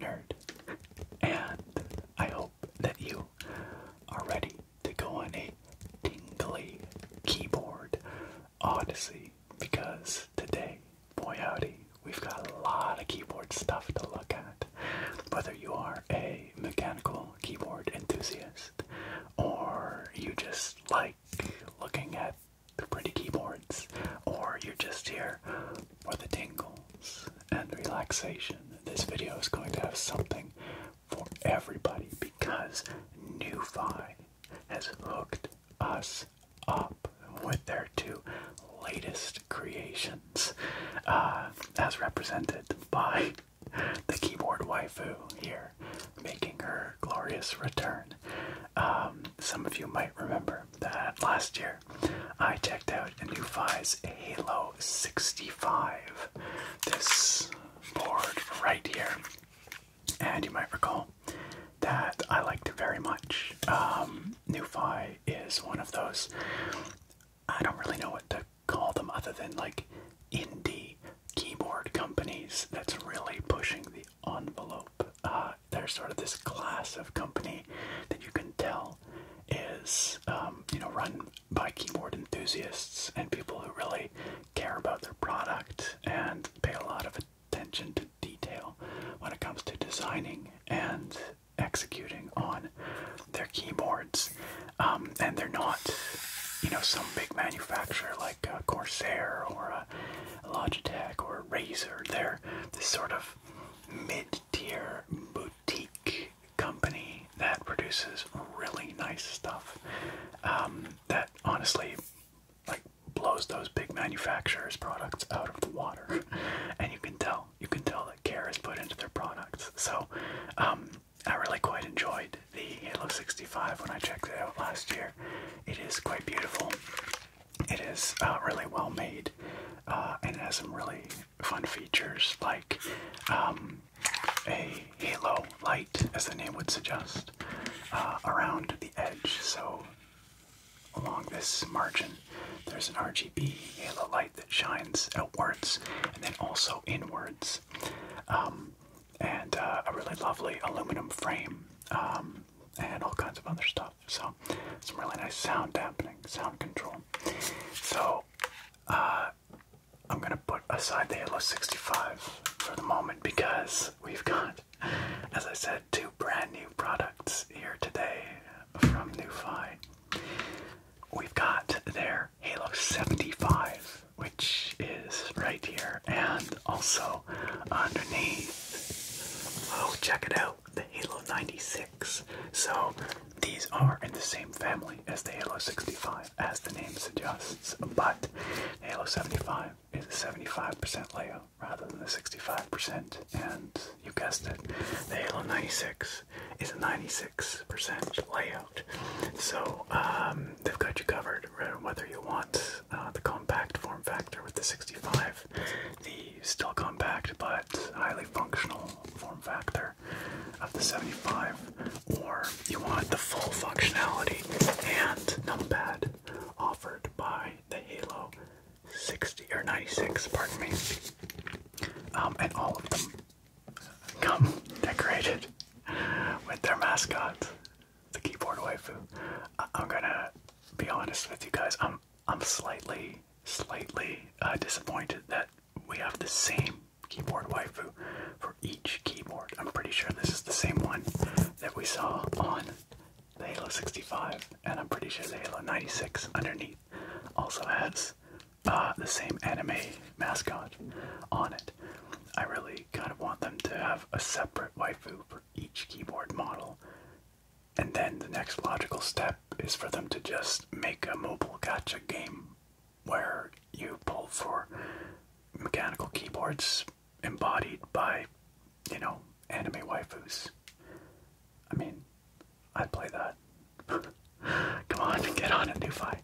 nerd, and I hope that you are ready to go on a tingly keyboard odyssey because today, boy howdy, we've got a lot of keyboard stuff to look at. Whether you are a mechanical keyboard enthusiast or you just like looking at the pretty keyboards, or you're just here for the tingles and relaxation. This video is going to have something for everybody because NuFi has hooked us up with their two latest creations, uh, as represented by the keyboard waifu here, making her glorious return. Um, some of you might remember that last year I checked out Nufi's Halo 65. This board right here. And you might recall that I liked it very much. Um, is one of those, I don't really know what to call them other than like indie keyboard companies that's really pushing the envelope uh, they're sort of this class of company that you can tell is um, you know run by keyboard enthusiasts and people who really care about their product and pay a lot of attention to detail when it comes to designing and executing on their keyboards um, and they're not you know some big manufacturer like uh, Corsair or uh, Logitech or a Razer they're this sort of mid tier boutique company that produces really nice stuff um, that honestly like blows those big manufacturers products out of the water and you can tell you can tell that care is put into their products so um, i really quite enjoyed the halo 65 when i checked it out last year it is quite beautiful it is uh, really well made uh, and has some really fun features like um, a halo light, as the name would suggest, uh, around the edge. So along this margin, there's an RGB halo light that shines outwards and then also inwards. Um, and uh, a really lovely aluminum frame um, and all kinds of other stuff. So some really nice sound happening, sound control. So uh, I'm gonna put aside the Halo 65 for the moment because we've got, as I said, two brand new products here today from NuFi. We've got their Halo 75, which is right here, and also underneath. Oh, check it out, the Halo 96. So these are in the same family as the Halo 65, as the name suggests, but Halo 75 is a 75% layout rather than the 65%, and you guessed it, the Halo 96 is a 96% layout. So um, they've got you covered, whether you want uh, the compact form factor with the 65, the still compact but highly functional form factor of the 75, or you want the full functionality and numpad offered by the Halo 60 or 96, pardon me. Um, and all of them come decorated with their mascot, the keyboard waifu. I'm gonna be honest with you guys. I'm um, I'm slightly, slightly uh, disappointed that we have the same keyboard waifu for each keyboard. I'm pretty sure this is the same one that we saw on the Halo 65, and I'm pretty sure the Halo 96 underneath also has uh, the same anime mascot on it. I really kind of want them to have a separate waifu for each keyboard model and then the next logical step is for them to just make a mobile gotcha game where you pull for mechanical keyboards embodied by, you know, anime waifus. I mean, I'd play that. Come on, get on it, Newfi.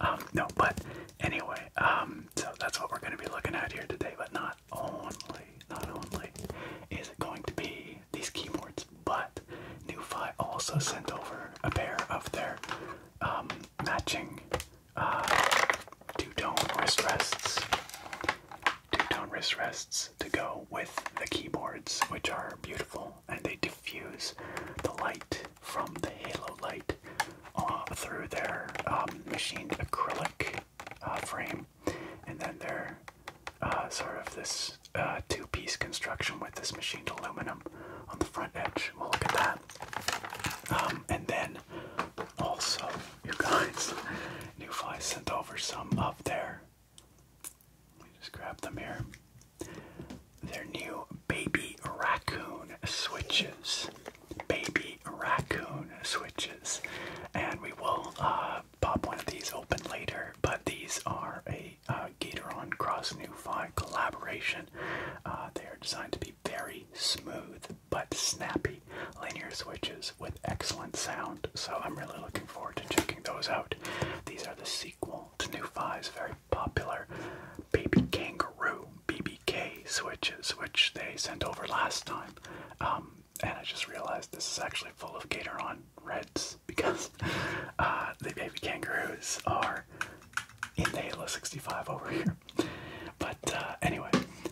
Um, no, but anyway, um, so that's what we're going to be looking at here today, but not only not only is it going to be these keyboards, but NuFi also sent over a pair of their um, matching uh, two-tone wrist rests, two-tone wrist rests to go with the keyboards, which are beautiful and they diffuse the light from the halo light uh, through their um, machined acrylic uh, frame and then they're uh, sort of this uh, two piece construction with this machined aluminum on the front edge. We'll look at that. Um, and then also, you guys, Newfly sent over some of there. Let me just grab them here. Their new baby raccoon switches. Baby raccoon switches. And we will uh, pop one of these open later, but these are a uh, Gateron Cross New 5 collaboration. Uh, they are designed to be very smooth but snappy linear switches with excellent sound, so I'm really looking forward to checking those out. These are the sequel to New 5's very popular Baby Kangaroo BBK switches, which they sent over last time. Um, and I just realized this is actually full of Gateron Reds because uh, the baby kangaroos are in the Halo 65 over here. But uh, anyway,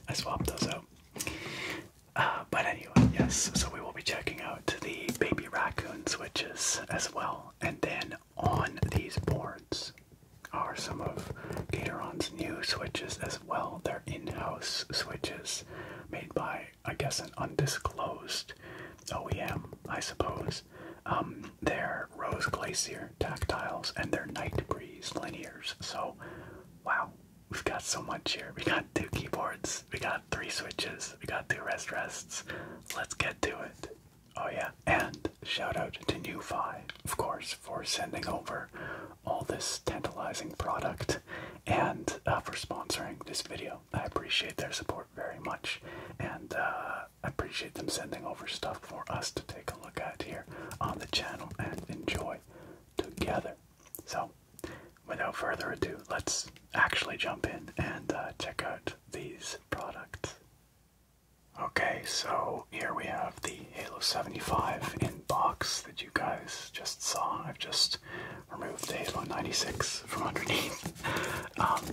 I swapped those out. Uh, but anyway, yes, so we will be checking out the baby raccoon switches as well. And then on these boards are some of Gatoron's new switches as well. They're in house switches made by I guess an undisclosed OEM, I suppose. Um, their Rose Glacier tactiles and their Night Breeze linears. So, wow, we've got so much here. We got two keyboards, we got three switches, we got two rest rests. Let's get to it. Oh, yeah, and shout out to NewFi, of course, for sending over all this tantalizing product and uh, for sponsoring this video. I appreciate their support very much, and uh, I appreciate them sending over stuff for us to take a look at here on the channel and enjoy together. So, without further ado, let's actually jump in and uh, check out these products. Okay, so here we have the Halo 75 in box that you guys just saw. I've just remove the Halo 96 from underneath. Um,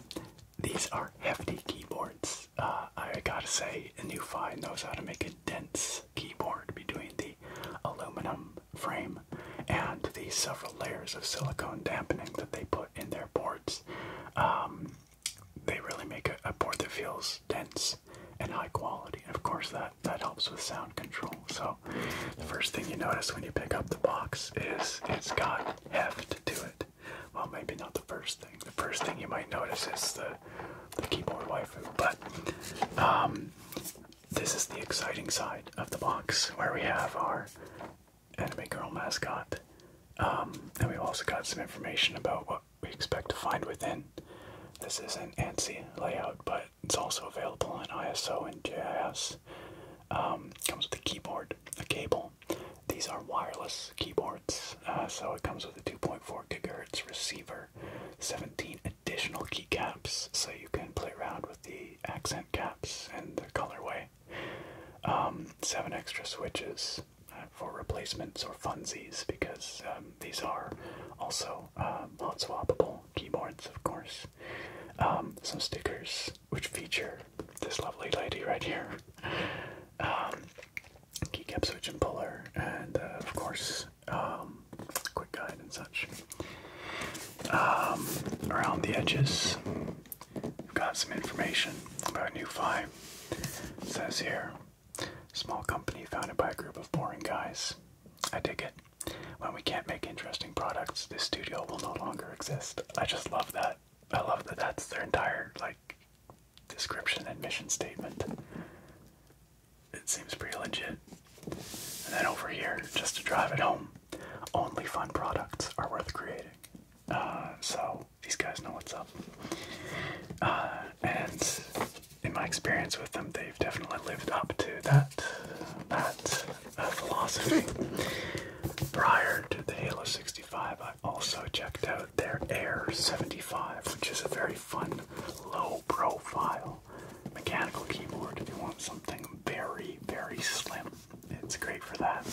these are hefty keyboards. Uh, I gotta say, Newfi knows how to make a dense keyboard between the aluminum frame and the several layers of silicone dampening that they put in their boards. Um, they really make a, board that feels dense and high quality. of course, that, that helps with sound control. So the first thing you notice when you pick up the box is it's got heft to it. Well, maybe not the first thing. The first thing you might notice is the keyboard waifu, but um, this is the exciting side of the box where we have our anime girl mascot, um, and we've also got some information about what we expect to find within. This is an ANSI layout, but it's also available in ISO and JIS. Um, comes with a keyboard, a cable. These are wireless keyboards, uh, so it comes with a 2.4 gigahertz receiver, 17 additional keycaps, so you can play around with the accent caps and the colorway. Um, seven extra switches uh, for replacements or funzies because um, these are also um, uh, hot swappable keyboards, of course. Um, some stickers, which feature this lovely lady right here. Um, keycap switch and puller, and uh, of course, um, quick guide and such. Um, around the edges, we've got some information about New Five. says here, small company founded by a group of boring guys. I dig it. When we can't make interesting products, this studio will no longer exist. I just love that. I love that that's their entire, like, description and mission statement. It seems pretty legit. And then over here, just to drive it home, only fun products are worth creating. Uh, so these guys know what's up. Uh, and in my experience with them, they've definitely lived up to that, that, uh, philosophy. Prior to the Halo 65, I also checked out their Air 75, which is a very fun, low profile mechanical keyboard. If you want something very, very slim, it's great for that.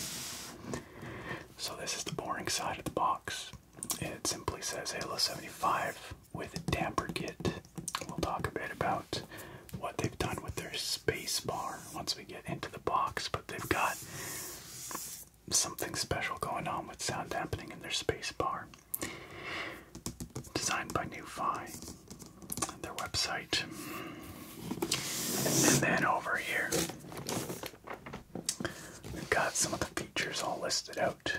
So, this is the boring side of the box. It simply says Halo 75 with a damper kit. We'll talk a bit about what they've done with their space bar once we get into the box, but they've got something special going on with sound dampening in their space bar. Designed by NewFi, their website. And then over here, we've got some of the features all listed out.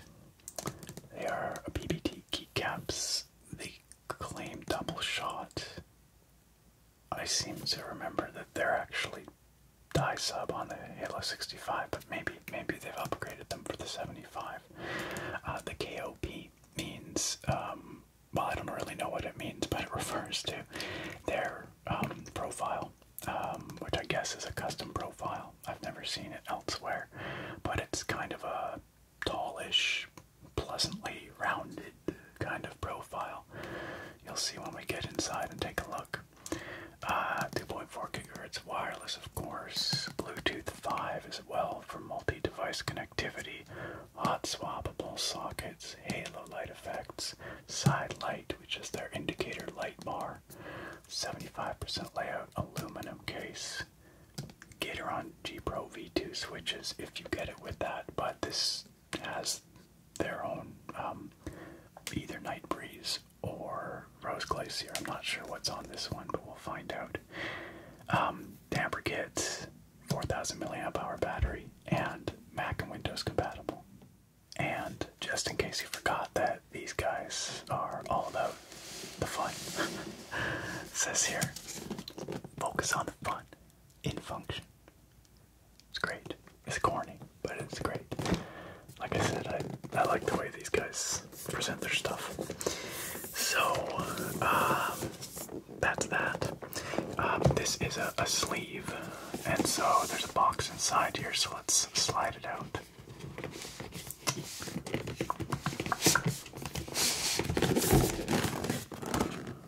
They are a PBT keycaps, they claim double shot, I seem to remember that they're actually die sub on the Halo 65, but maybe maybe they've upgraded them for the 75. Uh, the KOP means, um, well, I don't really know what it means, but it refers to their um, profile, um, which I guess is a custom profile. I've never seen it elsewhere, but it's kind of a tallish pleasantly rounded kind of profile. You'll see when we get inside and take a look. Uh, 2.4 gigahertz wireless, of course. Bluetooth 5 as well for multi-device connectivity. Hot swappable sockets, halo light effects, side light, which is their indicator light bar. 75% layout aluminum case. Gateron G Pro V2 switches if you get it with that, but this has their own um, either Night Breeze or Rose Glacier. I'm not sure what's on this one, but we'll find out. Um, Damper kits, 4000 milliamp hour battery, and Mac and Windows compatible. And just in case you forgot that these guys are all about the fun, says here, focus on the fun in function. It's great. It's corny, but it's great. Like I said, I, I like the way these guys present their stuff. So, um, that's that. Um, this is a sleeve, and so there's a box inside here, so let's slide it out.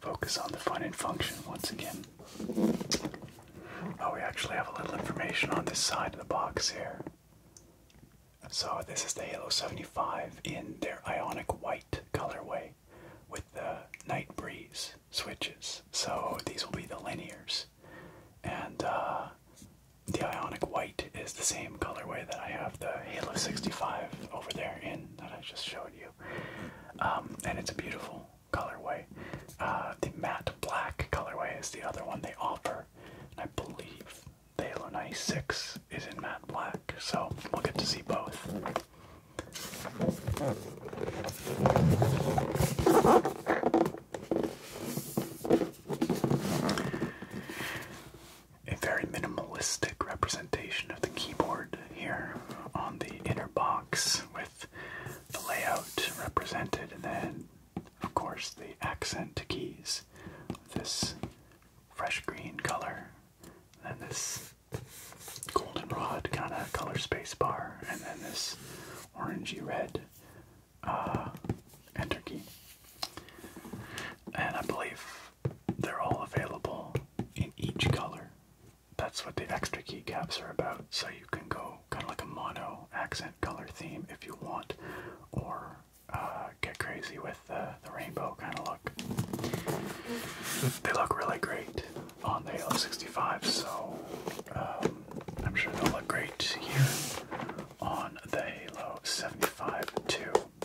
Focus on the fun and function once again. Oh, we actually have a little information on this side of the box here. So, this is the Halo 75 in their ionic white colorway with the Night Breeze switches. So, these will be the linears. And uh, the Ionic White is the same colorway that I have the Halo 65 over there in that I just showed you. Um, and it's a beautiful colorway. Uh, the matte black colorway is the other one they offer. And I believe the Halo 96 is in matte black, so we'll get to see both a very minimalistic representation of the keyboard here on the inner box with the layout represented and then of course the accent keys this fresh green color and then this goldenrod kind of color space bar and then this orangey red uh, enter key and I believe they're all available in each color. That's what the extra keycaps are about. So you can go kind of like a mono accent color theme if you want, or uh, get crazy with the, rainbow kind of look. They look really great on the Halo 65, so um, I'm sure they'll look great here on the Halo 75 too.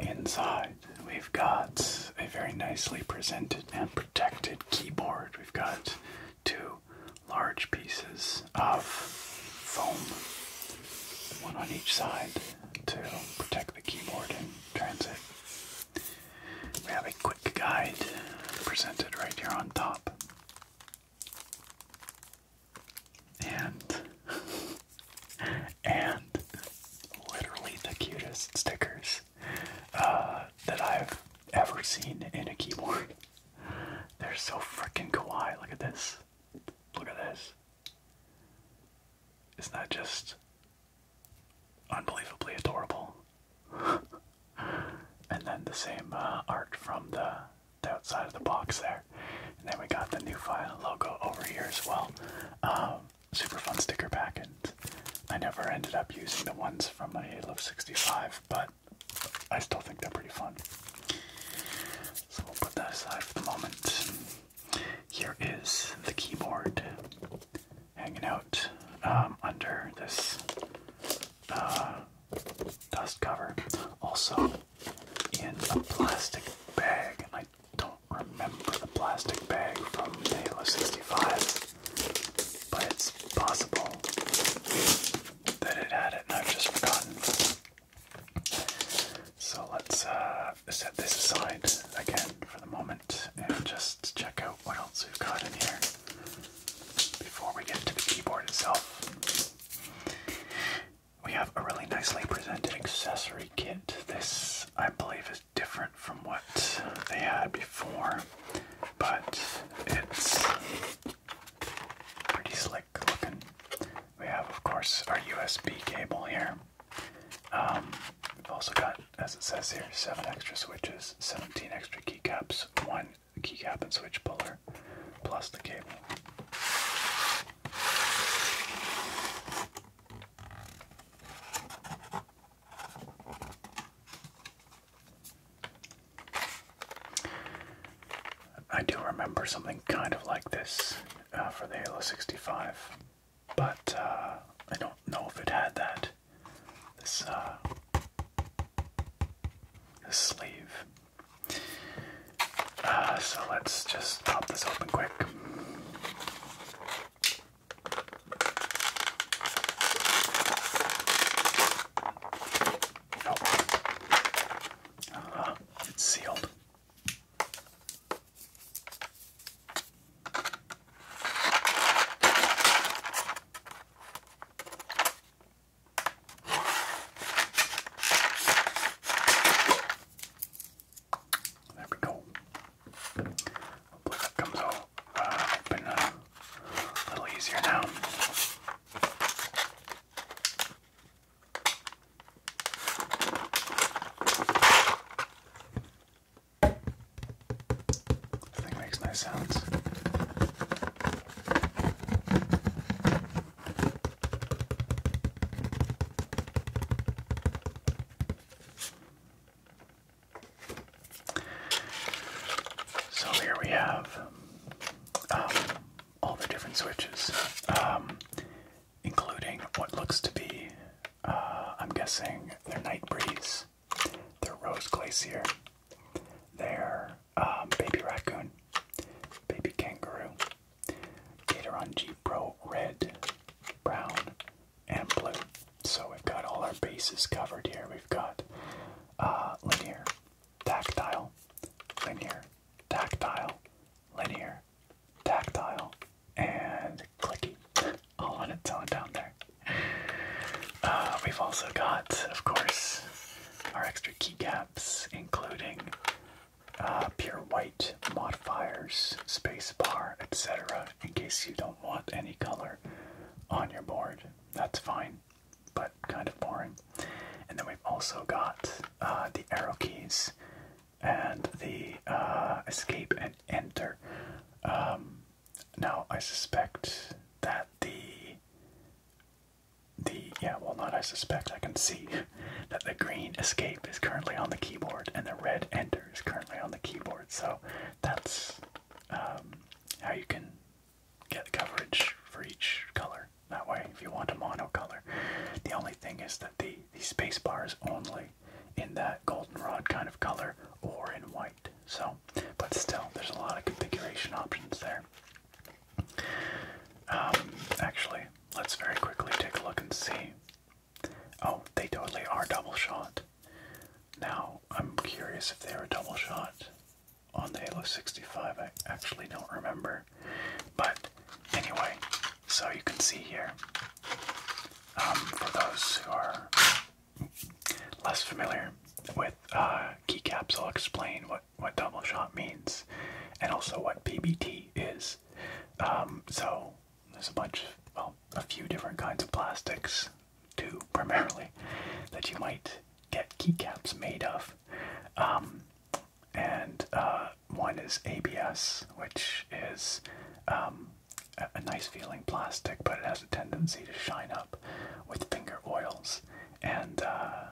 Inside, we've got a very nicely presented and protected keyboard. We've got two large pieces of foam, one on each side to protect the keyboard in transit. We have a quick guide presented right here on top. And and literally the cutest stickers uh, that I've ever seen in a keyboard. They're so freaking kawaii. Look at this. Look at this. Isn't that just unbelievably adorable? and then the same uh, art from the, outside of the box there. And then we got the new file logo over here as well. Um, um, super fun sticker pack, and I never ended up using the ones from my Halo 65, but I still think they're pretty fun. So we'll put that aside for the moment. Here is the keyboard hanging out um, under this uh, dust cover, also in a plastic bag. I don't remember the plastic bag from the Halo 65, but it's possible that it had it and I've just forgotten. So let's uh, set this aside again for the moment and just check out what else we've got in here before we get to the keyboard itself. We have a really nicely presented accessory kit. This, I believe, is different from what they had before, but it's pretty slick looking. We have, of course, our USB cable here. Um, we've also got, as it says here, seven extra switches, 17 extra keycaps, one keycap and switch puller, plus the cable. I do remember something kind of like this uh, for the Halo 65, but uh, I don't know if it had that. This, uh, sleeve. so let's just pop this open quick. Oh. Uh, it's sealed. There we go. Hopefully that comes out uh, uh, a little easier now. thing makes no sounds. So here we have um, all the different switches, um, including what looks to be, uh, I'm guessing, their Night Breeze, their Rose Glacier, their um, Baby Raccoon, Baby Kangaroo, Gatoron G Pro Red, Brown, and blue. So we've got all our bases covered here. We've got uh, linear, tactile, linear, tactile, linear, tactile, and clicky. All on its own down there. Uh, we've also got, of course, our extra keycaps, including uh, pure white modifiers, spacebar, etc in case you don't want any color on your board. That's fine, but kind of boring. And then we've also got uh, the arrow keys and the uh, escape and enter. Um, now I suspect that the the yeah well not I suspect I can see that the green escape is currently on the keyboard and the red enter is currently on the keyboard so that's um, how you can get coverage for each color that way if you want a mono color. The only thing is that the, the space bar is only in that goldenrod kind of color or in white. So, but still, there's a lot of configuration options there. Um, actually, let's very quickly take a look and see. Oh, they totally are double shot. Now, I'm curious if they were double shot on the Halo 65. I actually don't remember. But anyway, so you can see here, um, for those who are less familiar with uh, keycaps, I'll explain what, what double shot means and also what PBT is. Um, so, there's a bunch of, well, a few different kinds of plastics two primarily that you might get keycaps made of. Um, and uh, one is ABS, which is um, a, nice feeling plastic, but it has a tendency to shine up with finger oils. And uh,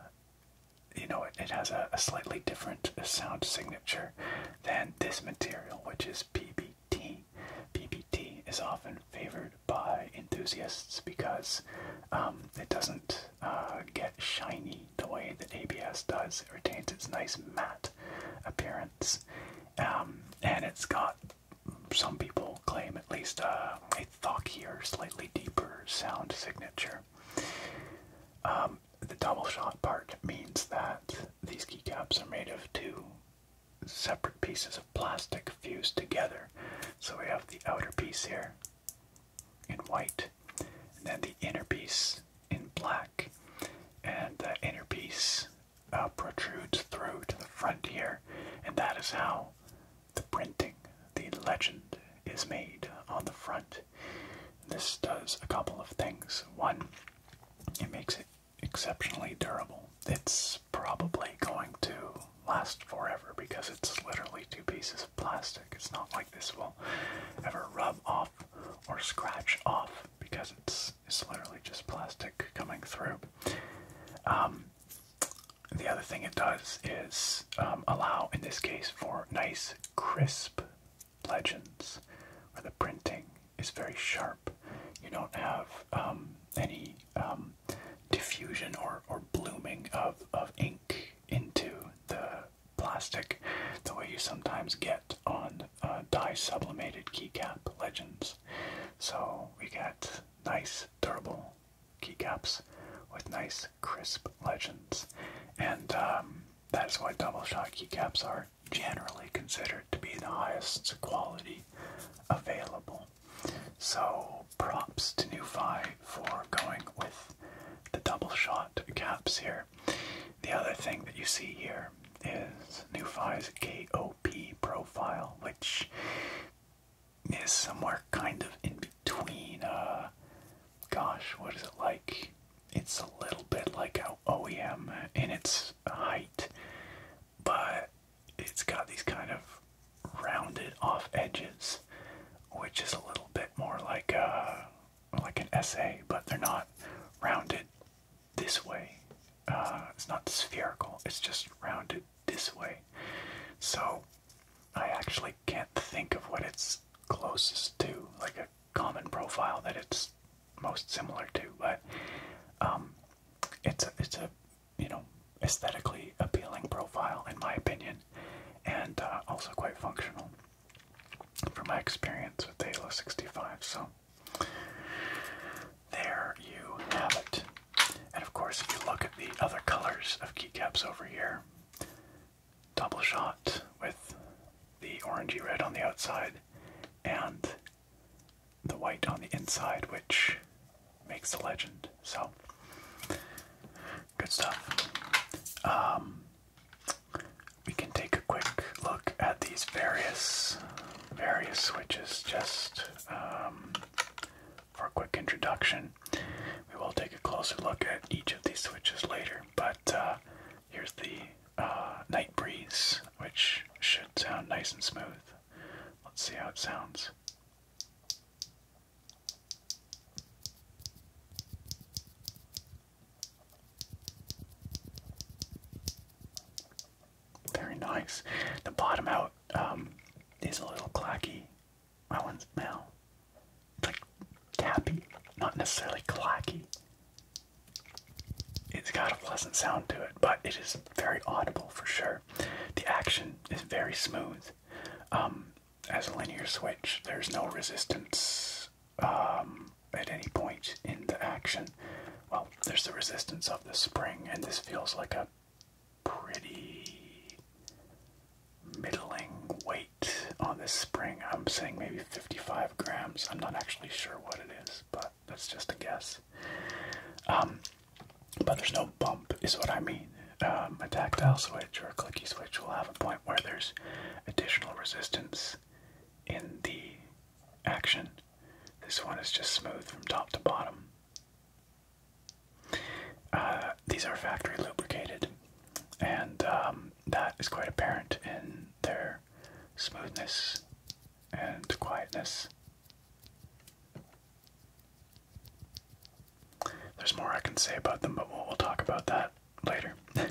you know, it, has a slightly different sound signature than this material, which is PB PBT. PBT is often favored by enthusiasts because um, it doesn't uh, get shiny the way that ABS does. It retains its nice matte appearance, um, and it's got some people claim at least uh, a thockier, slightly deeper sound signature. Um, the double shot part means that these keycaps are made of two separate pieces of plastic fused together. So we have the outer piece here in white, and then the inner piece in black, and the inner piece uh, protrudes through to the front here, and that is how the printing, the legend, is made on the front. This does a couple of things. One, it makes it exceptionally durable. It's probably going to last forever because it's literally two pieces of plastic. It's not like this will ever rub off or scratch off because it's it's literally just plastic coming through. Um, the other thing it does is um, allow, in this case, for nice crisp legends for the printing is very sharp. You don't have um, any um, diffusion or, or blooming of, of ink into the plastic the way you sometimes get on uh, dye sublimated keycap legends. So we get nice, durable keycaps with nice, crisp legends. And um, that's why double shot keycaps are generally considered to be the highest quality available. So props to NuFi for going with the double shot caps here. The other thing that you see here is NuFi's KOP profile, which is somewhere kind of in between. Uh, gosh, what is it like? It's a little bit like how OEM in its height but it's got these kind of rounded off edges, which is a little bit more like a uh, like an essay, but they're not rounded this way. Uh, it's not spherical. It's just rounded this way. So I actually can't think of what it's closest to, like a common profile that it's most similar to. But um, it's it's a you know, aesthetically appealing profile, in my opinion, and uh, also quite functional from my experience with the Halo 65. So, there you have it. And of course, if you look at the other colors of keycaps over here, double shot with the orangey red on the outside and the white on the inside, which makes the legend. So, good stuff. Um, we can take a quick look at these various various switches just um, for a quick introduction. We will take a closer look at each of these switches later, but uh, here's the uh, Night Breeze, which should sound nice and smooth. Let's see how it sounds. Very nice. The bottom out um, is a little clacky. My one's now like tappy, not necessarily clacky. It's got a pleasant sound to it, but it is very audible for sure. The action is very smooth. Um, as a linear switch, there's no resistance um, at any point in the action. Well, there's the resistance of the spring, and this feels like a pretty middling weight on this spring. I'm saying maybe 55 grams. I'm not actually sure what it is, but that's just a guess. Um, but there's no bump, is what I mean. Um, a tactile switch or a clicky switch will have a point where there's additional resistance in the action. This one is just smooth from top to bottom. Uh, these are factory lubricated, and um, that is quite apparent in their smoothness and quietness. There's more I can say about them, but we'll, talk about that later.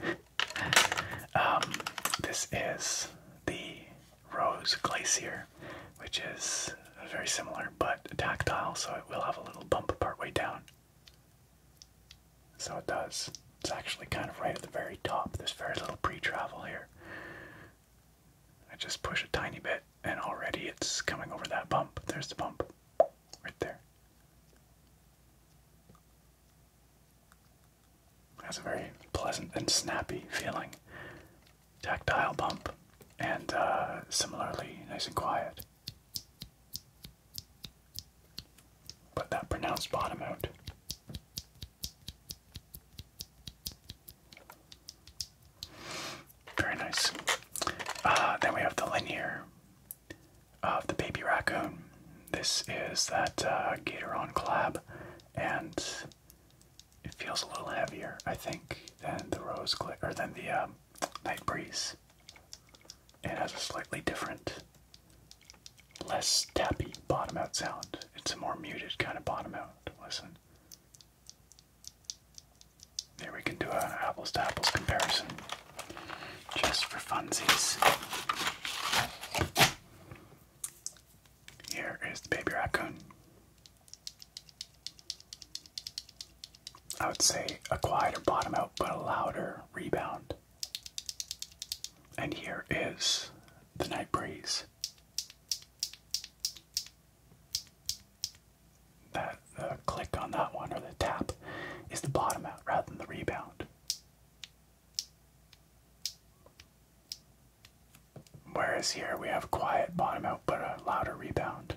Um, this is the Rose Glacier, which is very similar but tactile, so it will have a little bump part way down. So it does. It's actually kind of right at the very top. There's very little pre travel here. I just push a tiny bit, and already it's coming over that bump. There's the bump right there. That's a very pleasant and snappy feeling. Tactile bump, and uh, similarly nice and quiet. Put that pronounced bottom out. Very nice. Uh, then we have the linear of the baby raccoon. This is that uh, Gatoron collab, and it feels a little heavier, I think, than the Rose Glitter, or than the um, Night Breeze. It has a slightly different, less tappy bottom out sound. It's a more muted kind of bottom out. Listen. Here we can do an apples to apples comparison just for funsies. Here is the baby raccoon. I would say a quieter bottom out but a louder rebound. And here is the night breeze that uh, uh, click on that one or the tap is the bottom out rather than the rebound. Whereas here we have quiet bottom out but a louder rebound.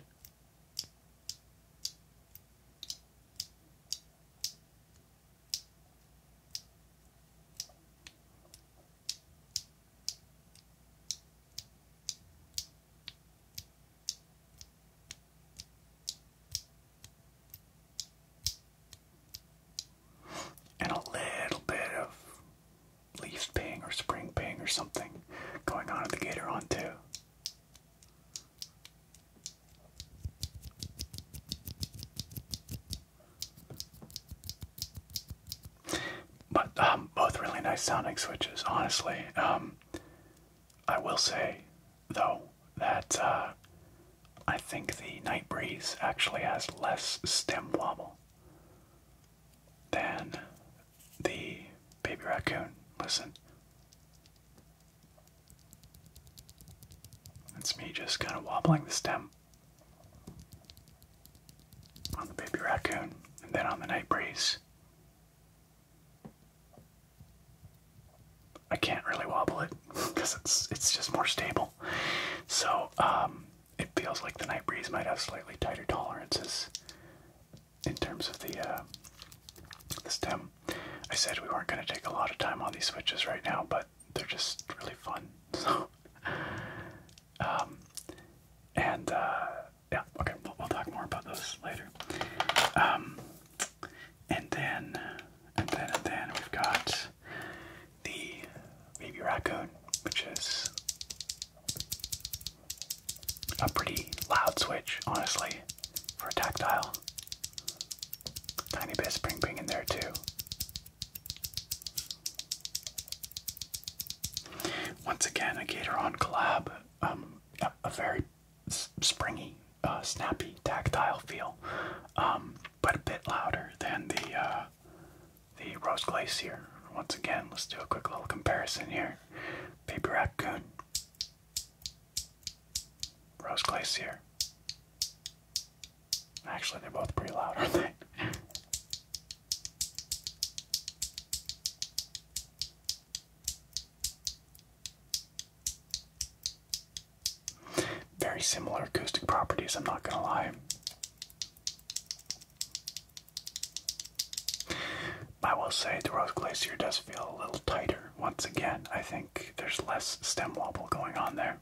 And a little bit of leaf ping or spring ping or something going on in the gator on too. But um, both really nice sounding switches, honestly. Um, I will say, though, that uh, I think the Night Breeze actually has less stem wobble than the Baby Raccoon. Listen. It's me just kind of wobbling the stem on the Baby Raccoon and then on the Night Breeze. I can't really wobble it because it's it's just more stable. So um, it feels like the night breeze might have slightly tighter tolerances in terms of the uh, the stem. I said we weren't going to take a lot of time on these switches right now, but they're just really fun. So, um, and uh, yeah, okay, we'll, talk more about those later. Um, and then, and then, and then we've got the baby raccoon, which is a pretty loud switch, honestly, for tactile. Tiny bit of spring in there too. Once again, a Gator collab um, a, very springy, uh, snappy, tactile feel, um, but a bit louder than the uh, the Rose Glacier. Once again, let's do a quick little comparison here. Baby Raccoon, Rose Glacier. Actually, they're both pretty loud, aren't they? Very similar acoustic properties, I'm not going to lie. I will say the Rose Glacier does feel a little tighter. Once again, I think there's less stem wobble going on there.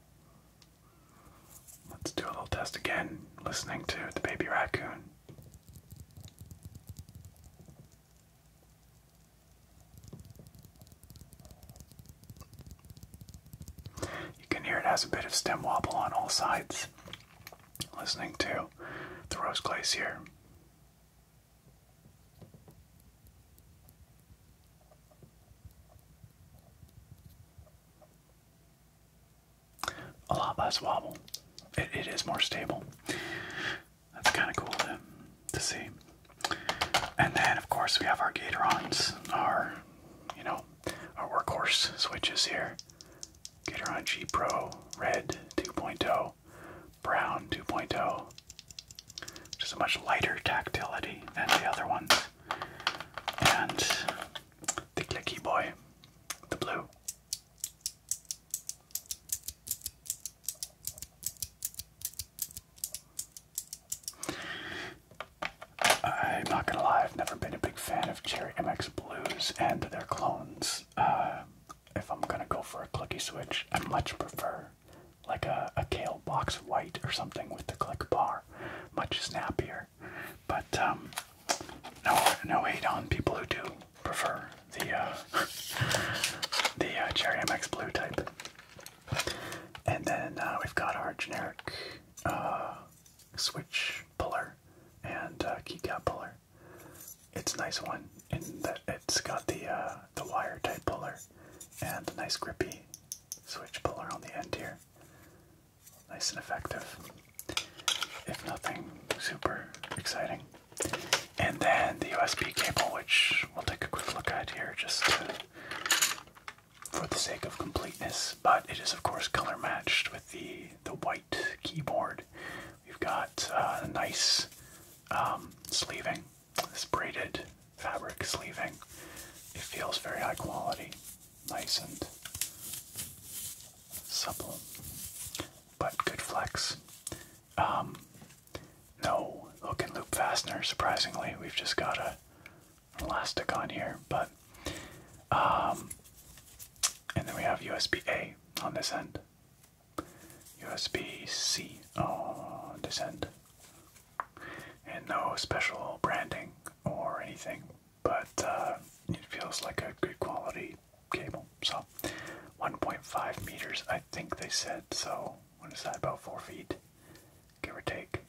Let's do a little test again, listening to the baby raccoon. You can hear it has a bit of stem wobble on all sides. Listening to the Rose Glacier. A lot less wobble it is more stable. That's kind of cool to, to see. And then, of course, we have our Gatorons, our, you know, our workhorse switches here. Gatoron G Pro Red 2.0, Brown 2.0. Just a much lighter tactility than the other ones. And the clicky boy, the blue. I'm not gonna lie, I've never been a big fan of Cherry MX Blues and their clones. Uh, if I'm gonna go for a clicky switch, I much prefer like a, a Kale Box White or something with the click bar. Much snappier. But um, no, no hate on people who do prefer the uh, the uh, Cherry MX Blue type. And then uh, we've got our generic switch puller and keycap puller. It's a nice one in that it's got the the wire type puller and a nice grippy switch puller on the end here. Nice and effective. If nothing super exciting. And then the USB cable, which we'll take a quick look at here just for the sake of completeness. But it is, of course, color matched with the, the white keyboard. We've got a uh, nice um, sleeving, this braided fabric sleeving. It feels very high quality, nice and supple, but good flex. Um, no hook and loop fastener, surprisingly. We've just got a elastic on here, but um, and then we have USB A on this end, USB C on this end, and no special branding or anything, but uh, it feels like a good quality USB cable. So 1.5 meters, I think they said. So what is that? About four feet, give or take.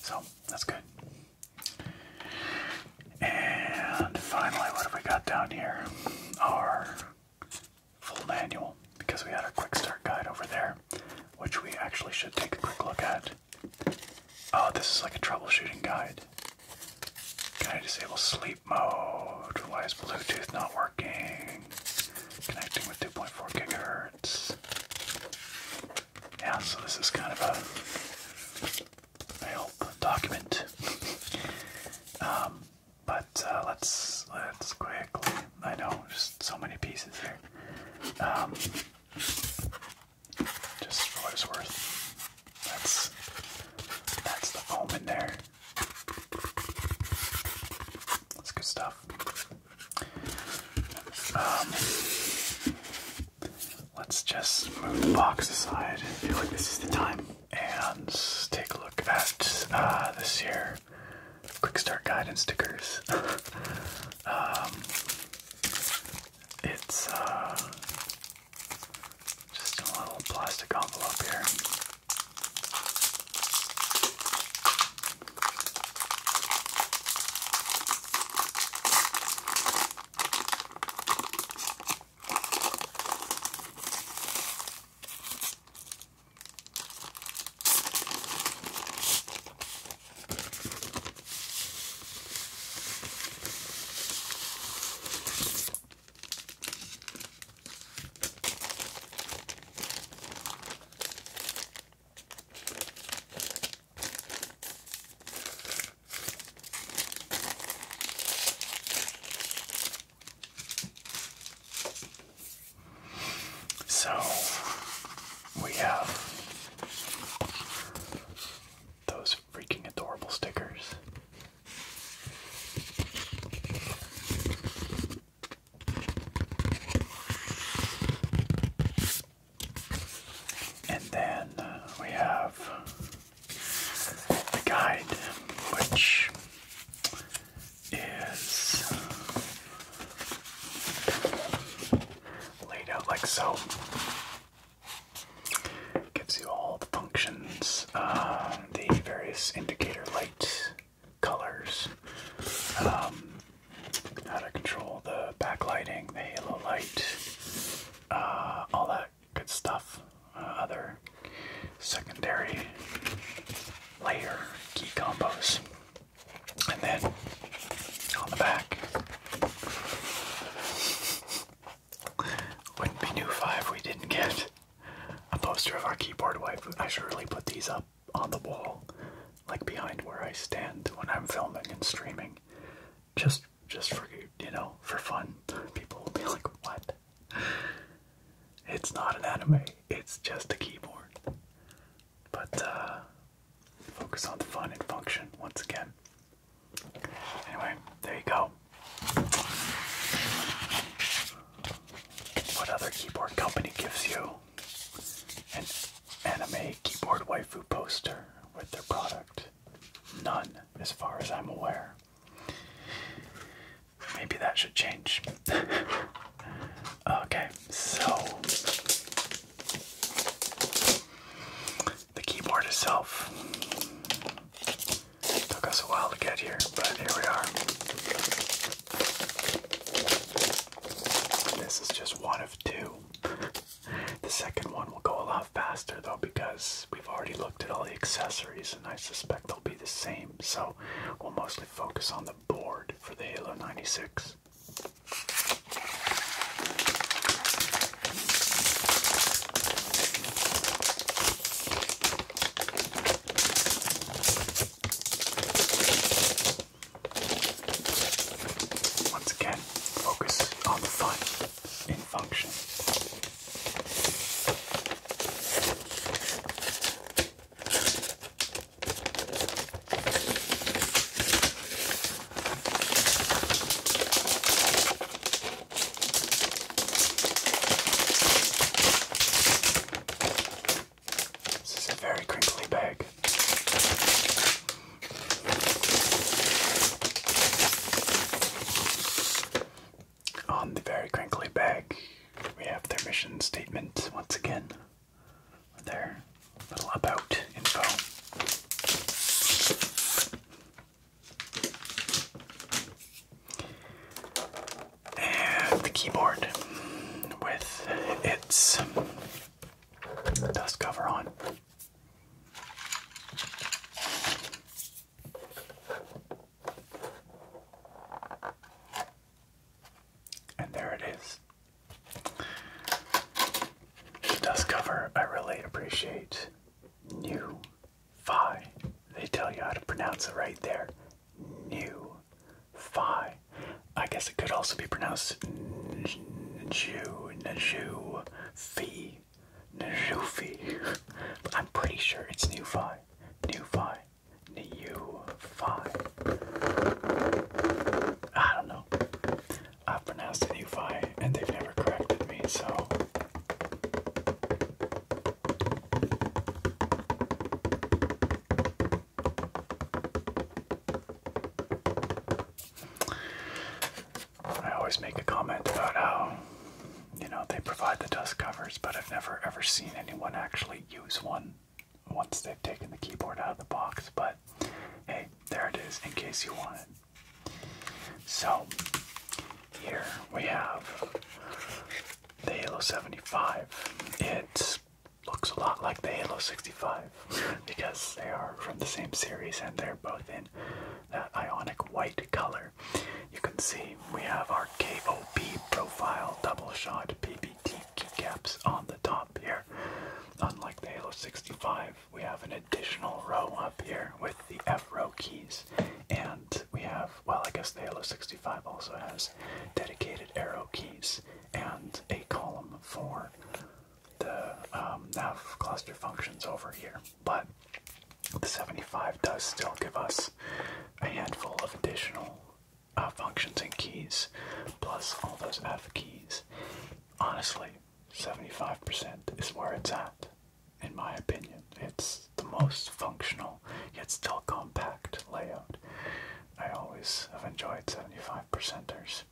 So that's good. And finally, what have we got down here? Our full manual, because we had our quick start guide over there, which we actually should take a quick look at. Oh, this is like a troubleshooting guide. Can I disable sleep mode? Why is Bluetooth not working? Connecting with 2.4 gigahertz. Yeah, so this is kind of a, help document. Um, but uh, let's let's quickly. I know, just so many pieces here. Um, just for what it's worth. That's that's the foam in there. That's good stuff. Um, let's just move the box aside. I feel like this is the time. And take a look at uh, this here quick start guide and stickers. Um, it's uh, just a little plastic envelope here. So we have those freaking adorable stickers. And then uh, we have the guide, which is laid out like so. Gives you all the functions, um, the various indicator light colors, um, how to control the backlighting, the halo light, uh, all that good stuff. Uh, other secondary layer key combos. And then on the back, wouldn't be new 5 we didn't get a poster of our keyboard wife. I should really put these up on the wall, like behind where I stand when I'm filming and streaming. Just just for you know, for fun. People will be like, what? It's not an anime, it's just a keyboard. But uh focus on the fun and function once again. Anyway, there you go. What other keyboard company gives you an anime keyboard waifu poster with their product? None, as far as I'm aware. Maybe that should change. okay, so the keyboard itself it took us a while to get here, but here we are. This is just one of two. The second one will go a lot faster though because we've already looked at all the accessories and I suspect they'll be the same. So we'll mostly focus on the board for the Halo 96. Once again, focus on the fun in function. This is a very crinkly bag. On the very crinkly bag, we have their mission statement once again. Their little about info and the keyboard with its dust cover on. And there it is. The dust cover, I really appreciate new Phi. They tell you how to pronounce it right there. Nu, Phi. I guess it could also be pronounced Nju, Nju, Phi, Njufi. But I'm pretty sure it's nu Phi. nu Phi. New Phi. I don't know. I've pronounced it nu Phi and they've never corrected me, so I always make a comment about how, you know, they provide the dust covers, but I've never ever seen anyone actually use one once they've taken the keyboard out of the box. But hey, there it is in case you want it. So, here we have the Halo 75. It looks a lot like the Halo 65 because they are from the same series and they're both in that ionic white color. You can see we have our KOP profile double shot PBT keycaps on the top here. Unlike the Halo 65, we have an additional row up here with the F row keys and we have, well, I guess the Halo 65 also has dedicated arrow keys and a column for the um, nav cluster functions over here. But the 75 does still give us a handful of additional uh, functions and keys, plus all those F keys. Honestly, 75% is where it's at, in my opinion. It's the most functional yet still compact layout. I always have enjoyed 75 percenters.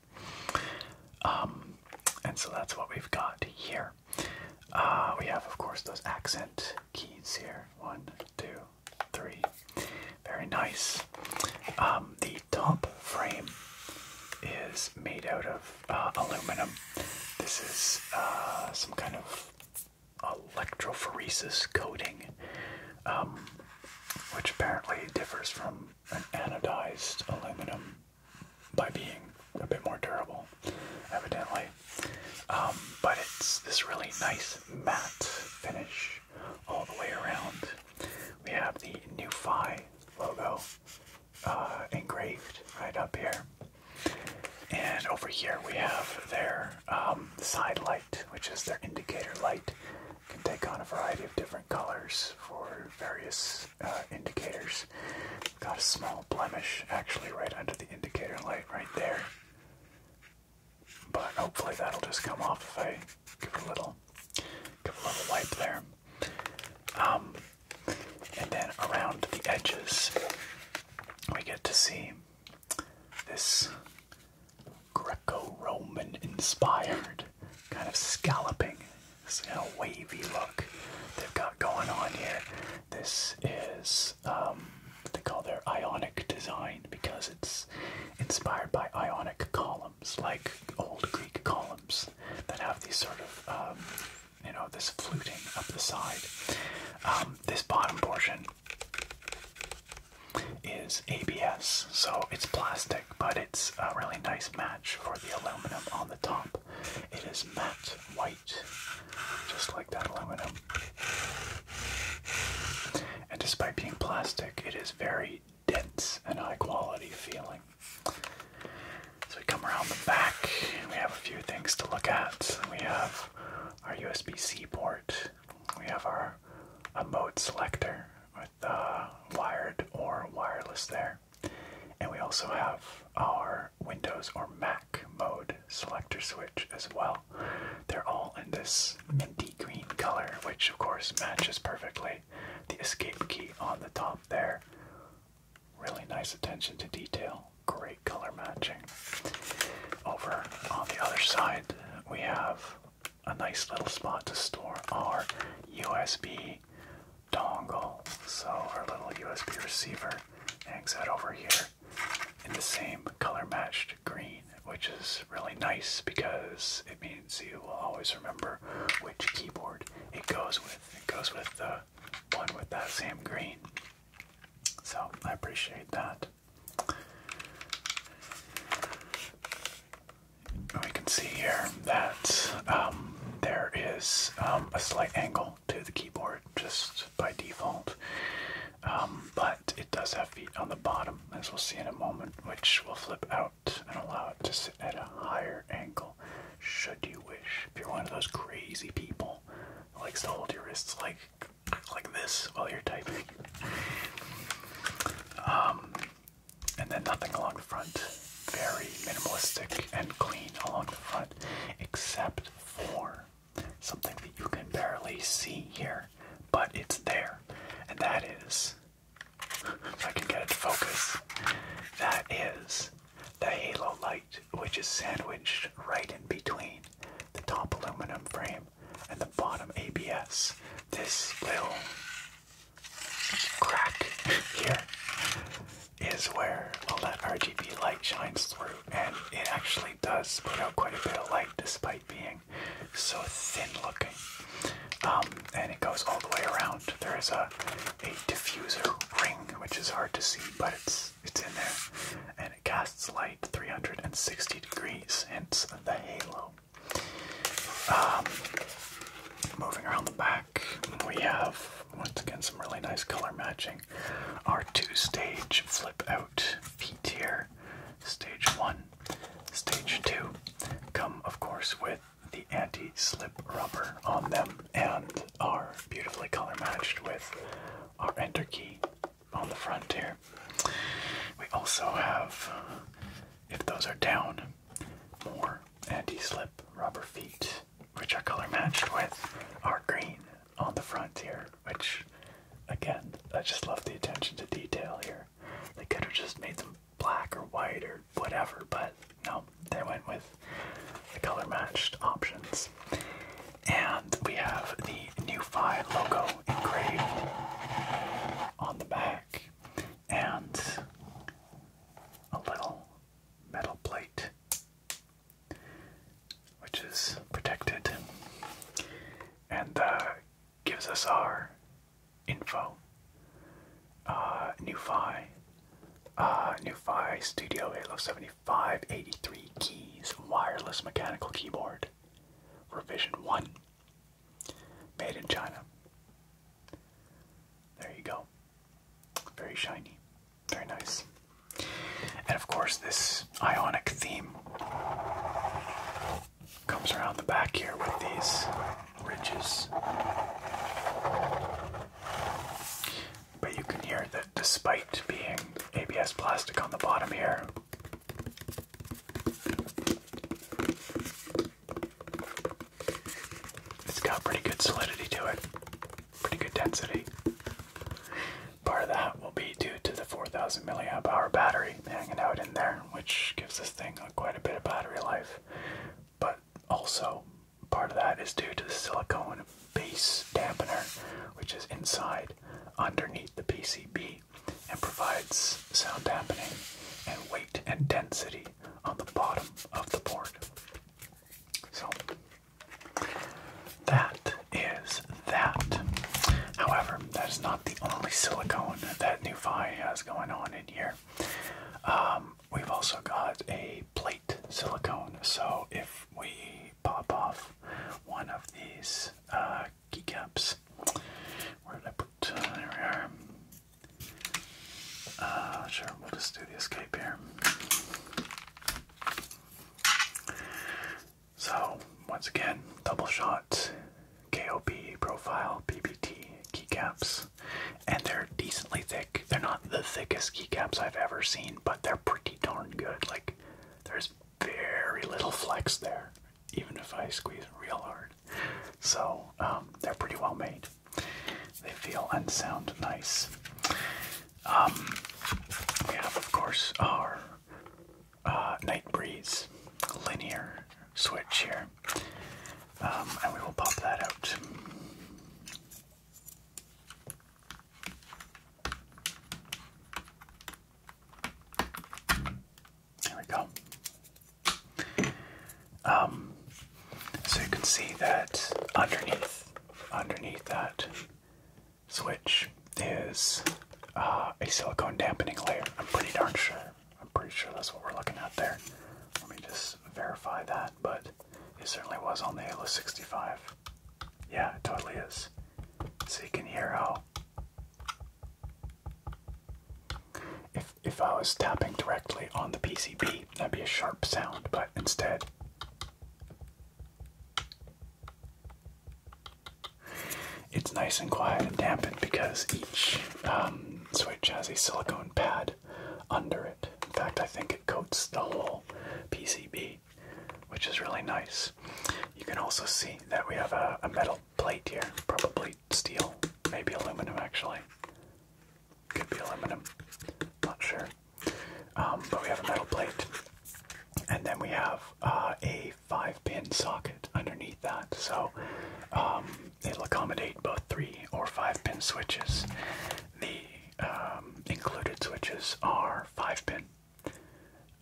Um, and so that's what we've got here. Uh, we have, of course, those accent keys here. One, two, three. Very nice. Um, the top frame is made out of uh, aluminum. This is uh, some kind of electrophoresis coating, um, which apparently differs from an anodized aluminum by being a bit more durable, evidently. Um, but it's this really nice matte finish all the way around. We have the new Phi logo uh, engraved right up here. And over here we have their um, side light, which is their indicator light. can take on a variety of different colors for various uh, indicators. Got a small blemish actually right under the indicator light right there. But hopefully that'll just come off if I give it a little, give a little wipe there. Um, and then around the edges, we get to see this Greco-Roman inspired kind of scalloping, this kind of wavy look they've got going on here. This is um, what they call their Ionic design because it's inspired by Ionic columns, like old Greek columns that have these sort of um, you know this fluting up the side. Um, this bottom portion is ABS. So it's plastic, but it's a really nice match for the aluminum on the top. It is matte white, just like that aluminum. And despite being plastic, it is very dense and high quality feeling. So we come around the back and we have a few things to look at. We have our USB C port, we have our mode selector with uh, wired or wireless there. And we also have our Windows or Mac mode selector switch as well. They're all in this minty green color, which of course matches perfectly the escape key on the top there. Really nice attention to detail. Great color matching. Over on the other side, we have a nice little spot to store our USB dongle. So our little USB receiver hangs out over here in the same color matched green, which is really nice because it means you will always remember which keyboard it goes with. It goes with the one with that same green. So I appreciate that. We can see here that um, there is um, a slight angle to the keyboard just by default, um, but it does have feet on the bottom, as we'll see in a moment, which will flip out and allow it to sit at a higher angle should you wish. If you're one of those crazy people who likes to hold your wrists like like this while you're typing. Um, and then nothing along the front. Very minimalistic and clean along the front, except for something that you can barely see here, but it's there. And that is, if I can get it to focus, that is the halo light, which is sandwiched right in between the top aluminum frame bottom and the bottom ABS. This little crack here is where all that RGB light shines through, and it actually does put out quite a bit of light despite being so thin looking. Um, and it goes all the way around. There is a, a diffuser ring, which is hard to see, but it's it's in there it casts light 360 degrees, hence the halo. Um, moving around the back, we have once again some really nice color matching. Our two stage flip out feet here, stage one, stage two, come of course with the anti slip rubber on them and are beautifully color matched with our enter key on the front here. We also have, if those are down, more anti-slip rubber feet, which are color matched with our green on the front here, which again, I just love the attention to detail here. They could have just made them black or white or whatever, but no, they went with the color matched options. And we have the NuFi logo engraved on the back, and a little metal plate which is protected and uh, gives us our info. Uh, NuFi, uh, NuFi Studio Halo 7583 keys, wireless mechanical keyboard, revision 1. Made in China. There you go. Very shiny. Very nice. And of course, this ionic theme comes around the back here with these ridges. But you can hear that despite being ABS plastic on the bottom here, it's got pretty good solidity to it, pretty good density. Part of that will be due to the 4000 milliamp hour battery hanging out in there, which gives this thing quite a bit of battery life. But also, part of that is due to the silicone base dampener, which is inside underneath the PCB and provides sound dampening and weight and density on the bottom of the board. So that is that. However, that is not the only silicone that NuFi has going on in here. Um, we've also got a plate silicone. So if we pop off one of these uh, keycaps. Where did I put? Uh, there we are. Uh, sure, we'll just do the escape here. So, once again, double shot, KOP profile, PBT keycaps, and they're decently thick. They're not the thickest keycaps I've ever seen, but they're pretty darn good. Like, there's very little flex there even if I squeeze real hard. So um, they're pretty well made. They feel and sound nice. Um, we have, of course, our uh, Night Breeze linear switch here, um, and we will pop that out. There we go. Um, so you can see that underneath, underneath that switch is uh, a silicone dampening layer. I'm pretty darn sure. I'm pretty sure that's what we're looking at there. Let me just verify that, but it certainly was on the Halo 65. Yeah, it totally is. So you can hear how if if I was tapping directly on the PCB, that'd be a sharp sound, but instead it's nice and quiet and dampened because each um, switch has a silicone pad under it. In fact, I think it coats the whole PCB, which is really nice. You can also see that we have a metal plate here. Probably steel. Maybe aluminum, actually. Could be aluminum. Not sure. Um, but we have a metal plate. And then we have uh, a five pin socket underneath that. So um, it'll accommodate both three or five pin switches. The um, included switches are five pin,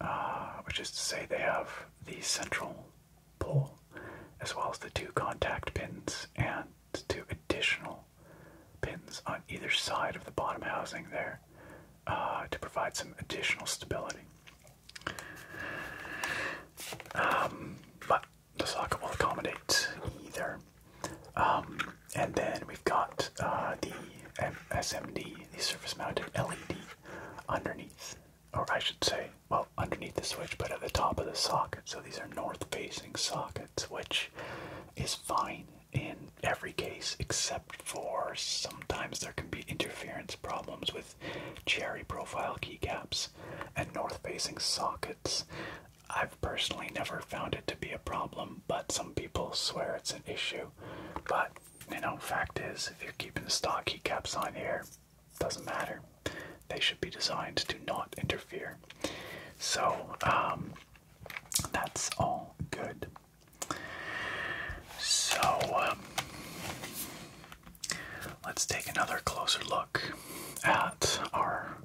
uh, which is to say they have the central pull, as well as the two contact pins and two additional pins on either side of the bottom housing there uh, to provide some additional stability. Um, but the socket will accommodate either. Um, and then we've got uh, the SMD, the surface mounted LED underneath, or I should say well, underneath the switch, but at the top of the socket. So these are north facing sockets, which is fine in every case except for sometimes there can be interference problems with cherry profile keycaps and north facing sockets. I've personally never found it to be a problem, but some people swear it's an issue. But you know, fact is, if you're keeping the stock keycaps on here, doesn't matter. They should be designed to not interfere. So um, that's all good. So um, let's take another closer look at our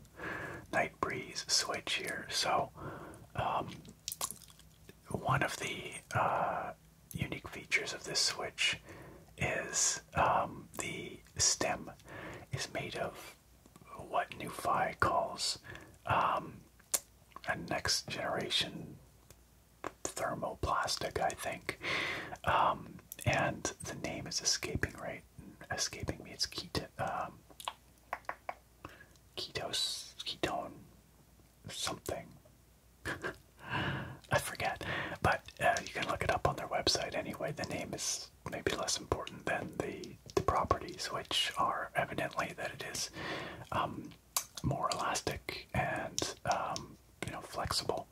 night breeze switch here. So um, one of the uh, uh, unique features of this Switch is um, the stem is made of what NuFi calls um, a next generation thermoplastic, I think. Um, and the name is escaping right escaping me. It's keto, um, ketos ketone something. I forget, but uh, you can look it up on their website anyway. The name is maybe less important than the, the properties, which are evidently that it is um, more elastic and um, you know flexible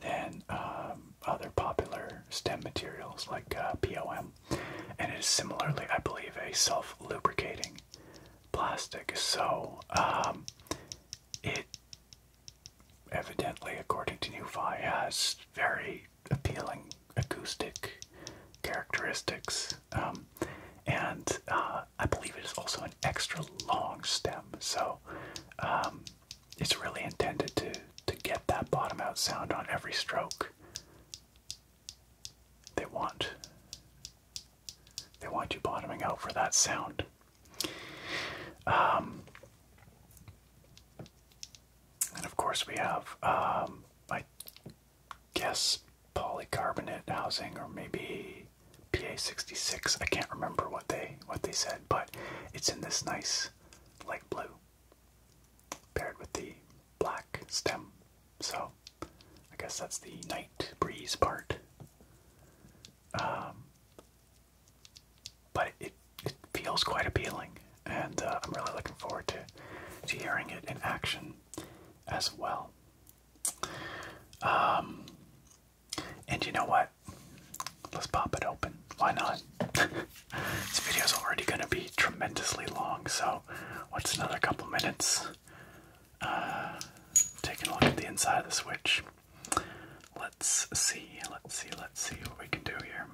than um, other popular stem materials like uh, POM, and it is similarly, I believe, a self-lubricating plastic. So it evidently, according to Newfi, has very appealing acoustic characteristics. Um, and uh, I believe it is also an extra long stem, so um, it's really intended to, to get that bottom out sound on every stroke. They want they want you bottoming out for that sound. Um, and of course, we have, my um, guess, polycarbonate housing, or maybe PA66. I can't remember what they what they said, but it's in this nice light blue, paired with the black stem. So, I guess that's the night breeze part. Um, but it, it feels quite appealing, and uh, I'm really looking forward to to hearing it in action as well. Um, and you know what? Let's pop it open. Why not? this video is already going to be tremendously long, so what's another couple minutes? Uh, taking a look at the inside of the Switch. Let's see, let's see, let's see what we can do here.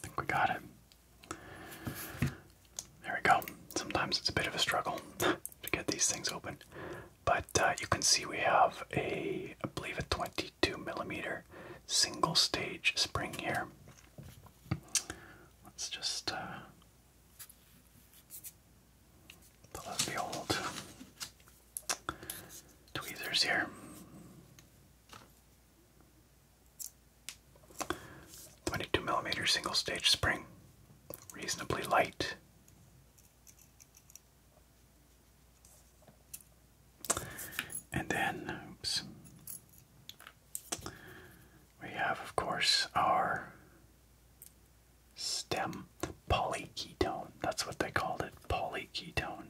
think we got it. There we go. Sometimes it's a bit of a struggle to get these things open. But uh, you can see we have a, I believe, a 22 millimeter single stage spring here. Let's just uh, let's be Tweezers here. Twenty-two millimeter single-stage spring, reasonably light. And then, oops, we have, of course, our stem polyketone. That's what they called it, polyketone.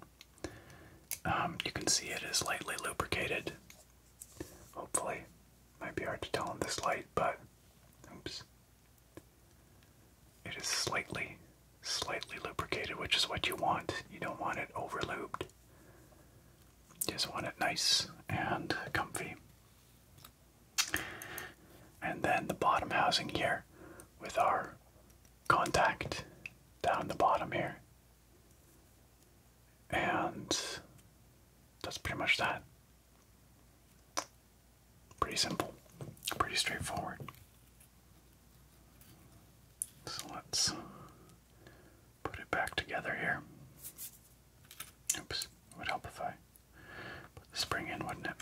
Um, you can see it is lightly lubricated. Hopefully, might be hard to tell in this light, but oops, it is slightly, slightly lubricated, which is what you want. You don't want it over lubed. just want it nice and comfy. And then the bottom housing here with our contact down the bottom here. And that's pretty much that. Pretty simple, pretty straightforward. So let's put it back together here. Oops, it would help if I Put the spring in, wouldn't it?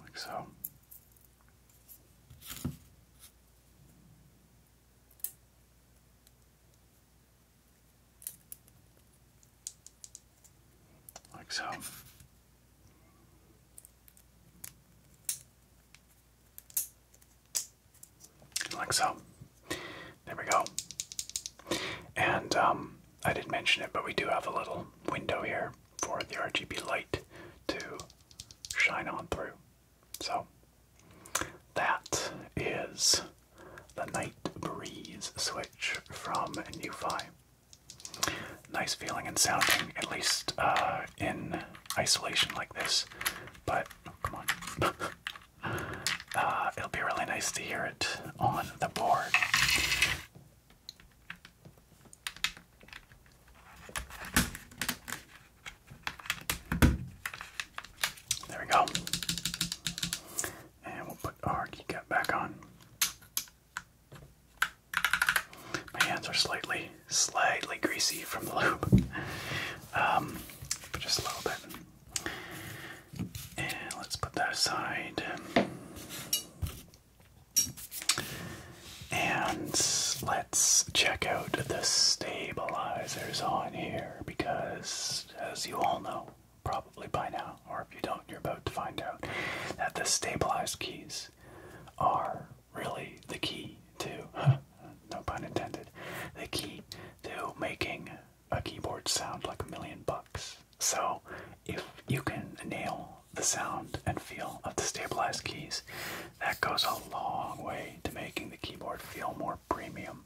Like so. Like so. Like so. There we go. And um, I did not mention it, but we do have a little window here for the RGB light to shine on through. So that is the Night Breeze switch from NuFi. Nice feeling and sounding, at least uh, uh, in isolation like this. But oh, come on, uh, it'll be really nice to hear it on the board. There we go. And we'll put our keycap back on. My hands are slightly slightly greasy from the lube, um, but just a little bit. And let's put that aside. And let's check out the stabilizers on here because, as you all know, probably by now, or if you don't, you're about to find out that the stabilized keys are really the key to, no pun intended, the key to making a keyboard sound like a million bucks. So, if you can nail the sound and feel of the stabilized keys, that goes a long way to making the keyboard feel more premium.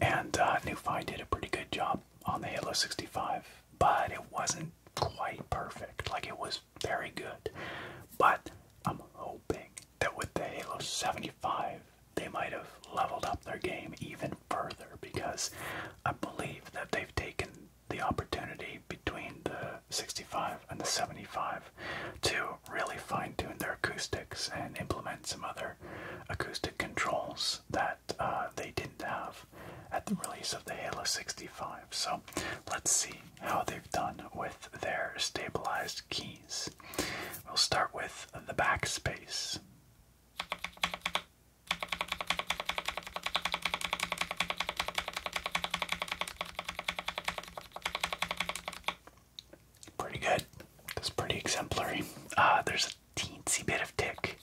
And uh, NuFi did a pretty good job on the Halo 65, but it wasn't quite perfect. Like, it was very good. But I'm hoping that with the Halo 75, they might have leveled up their game even further because I believe that they've taken the opportunity between the 65 and the 75 to really fine tune their acoustics and implement some other acoustic controls that uh, they didn't have at the release of the Halo 65. So let's see how they've done with their stabilized keys. We'll start with the backspace. Pretty good. That's pretty exemplary. Uh, there's a teensy bit of tick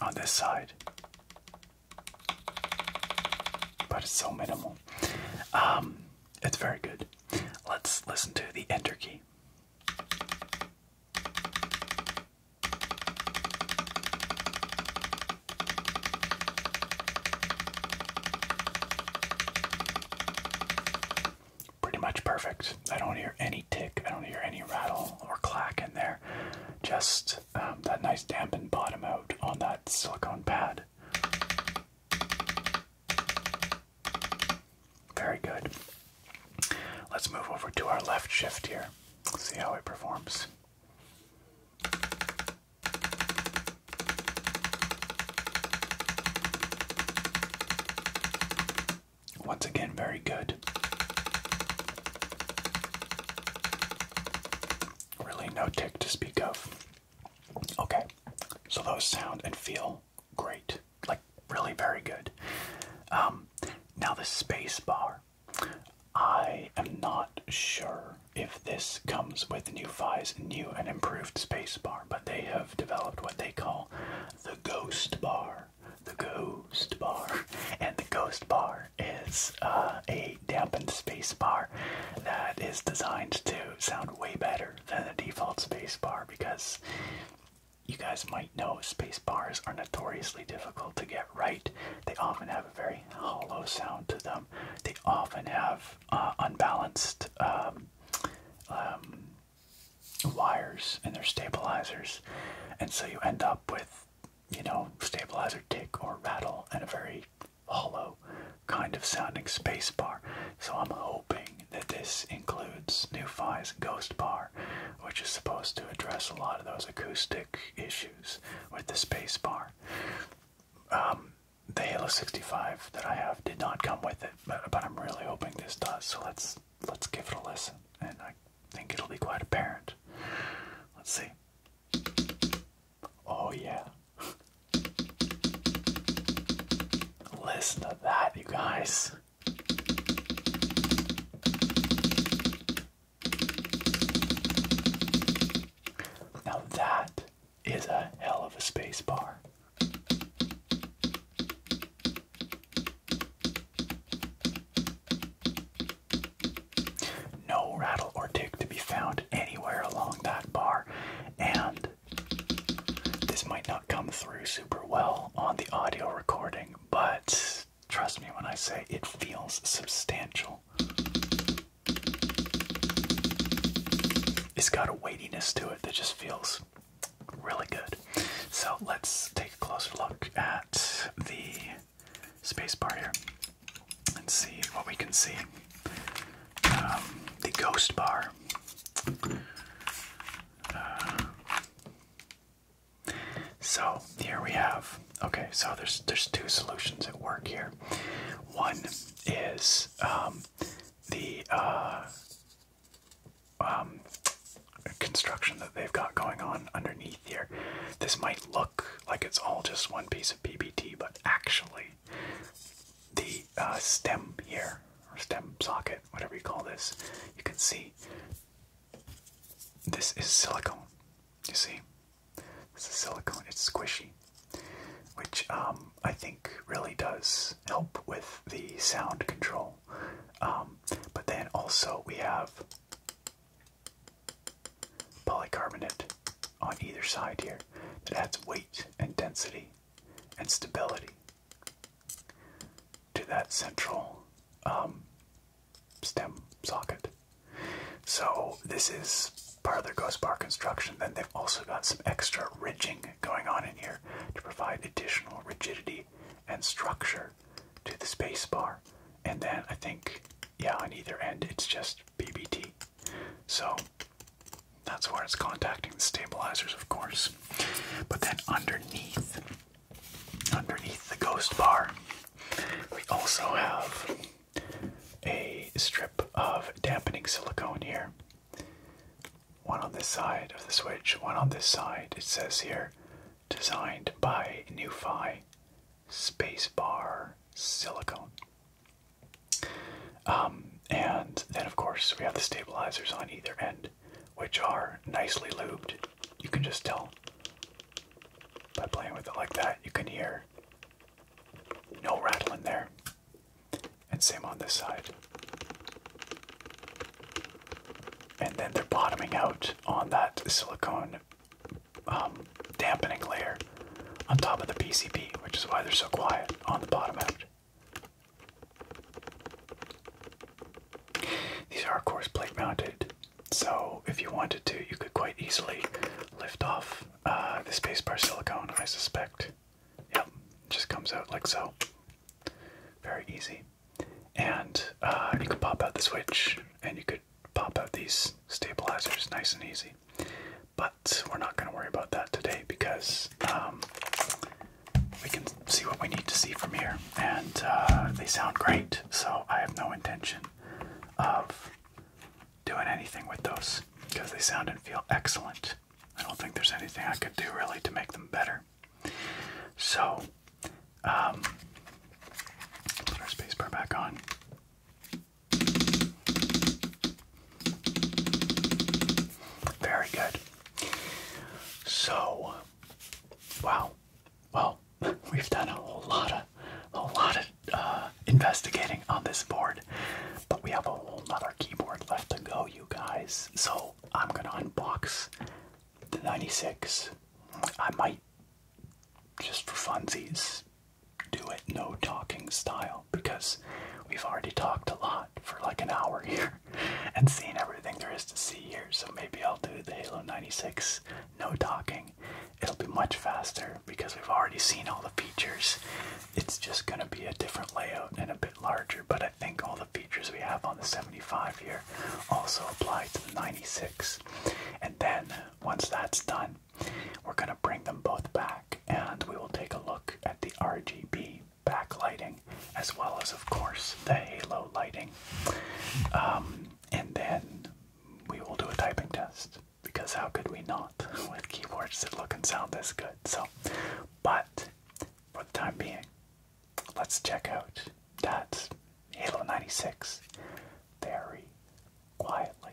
on this side but it's so minimal. Um, it's very good. Let's listen to the enter key. Pretty much perfect. I don't hear any tick, I don't hear any rattle or clack in there. Just um, that nice dampened bottom out on that silicone pad. Very good. Let's move over to our left shift here. See how it performs. Once again, very good. Really, no tick to speak of. Okay, so those sound and feel great, like really very good. Um, now the space bar. I am not sure if this comes with NuFi's new and improved space bar, but they have developed what they call the ghost bar. The ghost bar. And the ghost bar is uh, a dampened space bar that is designed to sound way better than the default space bar because you guys might know space bars are notoriously difficult to get right. They often have a very hollow sound to them. They often have uh, unbalanced um, um, wires in their stabilizers, and so you end up with, you know, stabilizer tick or rattle and a very hollow kind of sounding space bar. So I'm hoping that this includes NuFi's Ghost Bar, which is supposed to address a lot of those acoustic issues with the space bar. Um, the Halo 65 that I have did not come with it, but, but I'm really hoping this does. So let's let's give it a listen, and I think it'll be quite apparent. Let's see. Oh, yeah. Listen to that, you guys. Now, that is a hell of a space no rattle or tick to be found anywhere along that bar, and this might not come through super well on the audio recording, but trust me when I say it feels substantial. It's got a weightiness to it that just feels really good. So let's take a closer look at the spacebar here and see what we can see. Um, the ghost bar. Uh, so here we have. Okay, so there's there's two solutions at work here. One is um, the uh, um, construction that they've got going on underneath here. This might look like it's all just one piece of PBT, but actually the uh, stem here or stem socket, whatever you call this, you can see this is silicone. You see, this is silicone. It's squishy, which um, I think really does help with the sound control. Um, but then also we have polycarbonate on either side here that adds weight and density and stability to that central um, stem socket. So this is part of their ghost bar construction. Then they've also got some extra ridging going on in here to provide additional rigidity and structure to the space bar. And then I think, yeah, on either end, it's just PBT. So that's where it's contacting the stabilizers, of course. But then underneath, underneath the ghost bar, we also have a strip of dampening silicone here. One on this side of the switch, one on this side. It says here, designed by Newfi Spacebar Silicone. Um, and then, of course, we have the stabilizers on either end, which are nicely lubed. You can just tell by playing with it like that. You can hear no rattling there. And same on this side. And then they're bottoming out on that silicone um, dampening layer on top of the PCB, which is why they're so quiet on the bottom end. These are, of course, plate mounted, so if you wanted to, you could quite easily lift off this uh, the bar silicone, I suspect. Yep, just comes out like so. Very easy. And uh, you could pop out the switch, and you could pop out these stabilizers nice and easy. But we're not going to worry about that today because um, we can see what we need to see from here. And uh, they sound great, so I have no intention of doing anything with those because they sound and feel excellent. I don't think there's anything I could do really to make them better. So, um, put our spacebar back on. Very good. So, wow. Well, we've done a whole lot of, a lot of uh, investigating on this board, but we have a whole other keyboard left to go, you guys. So I'm gonna unbox the 96. I might, just for funsies, do it no talking style because we've already talked a lot for like an hour here and seen everything there is to see here. So maybe I'll do the Halo 96 no talking. It'll be much faster because we've already seen all the features. It's just going to be a different layout and a bit larger, but I think all the features we have on the 75 here also apply to the 96. And then once that's done, we're going to bring them both back and we will take a look at the RGB backlighting as well as, of course, the halo lighting. Um, and then we will do a typing test because how could we not with keyboards that look and sound this good? So, but for the time being, let's check out that Halo 96 very quietly.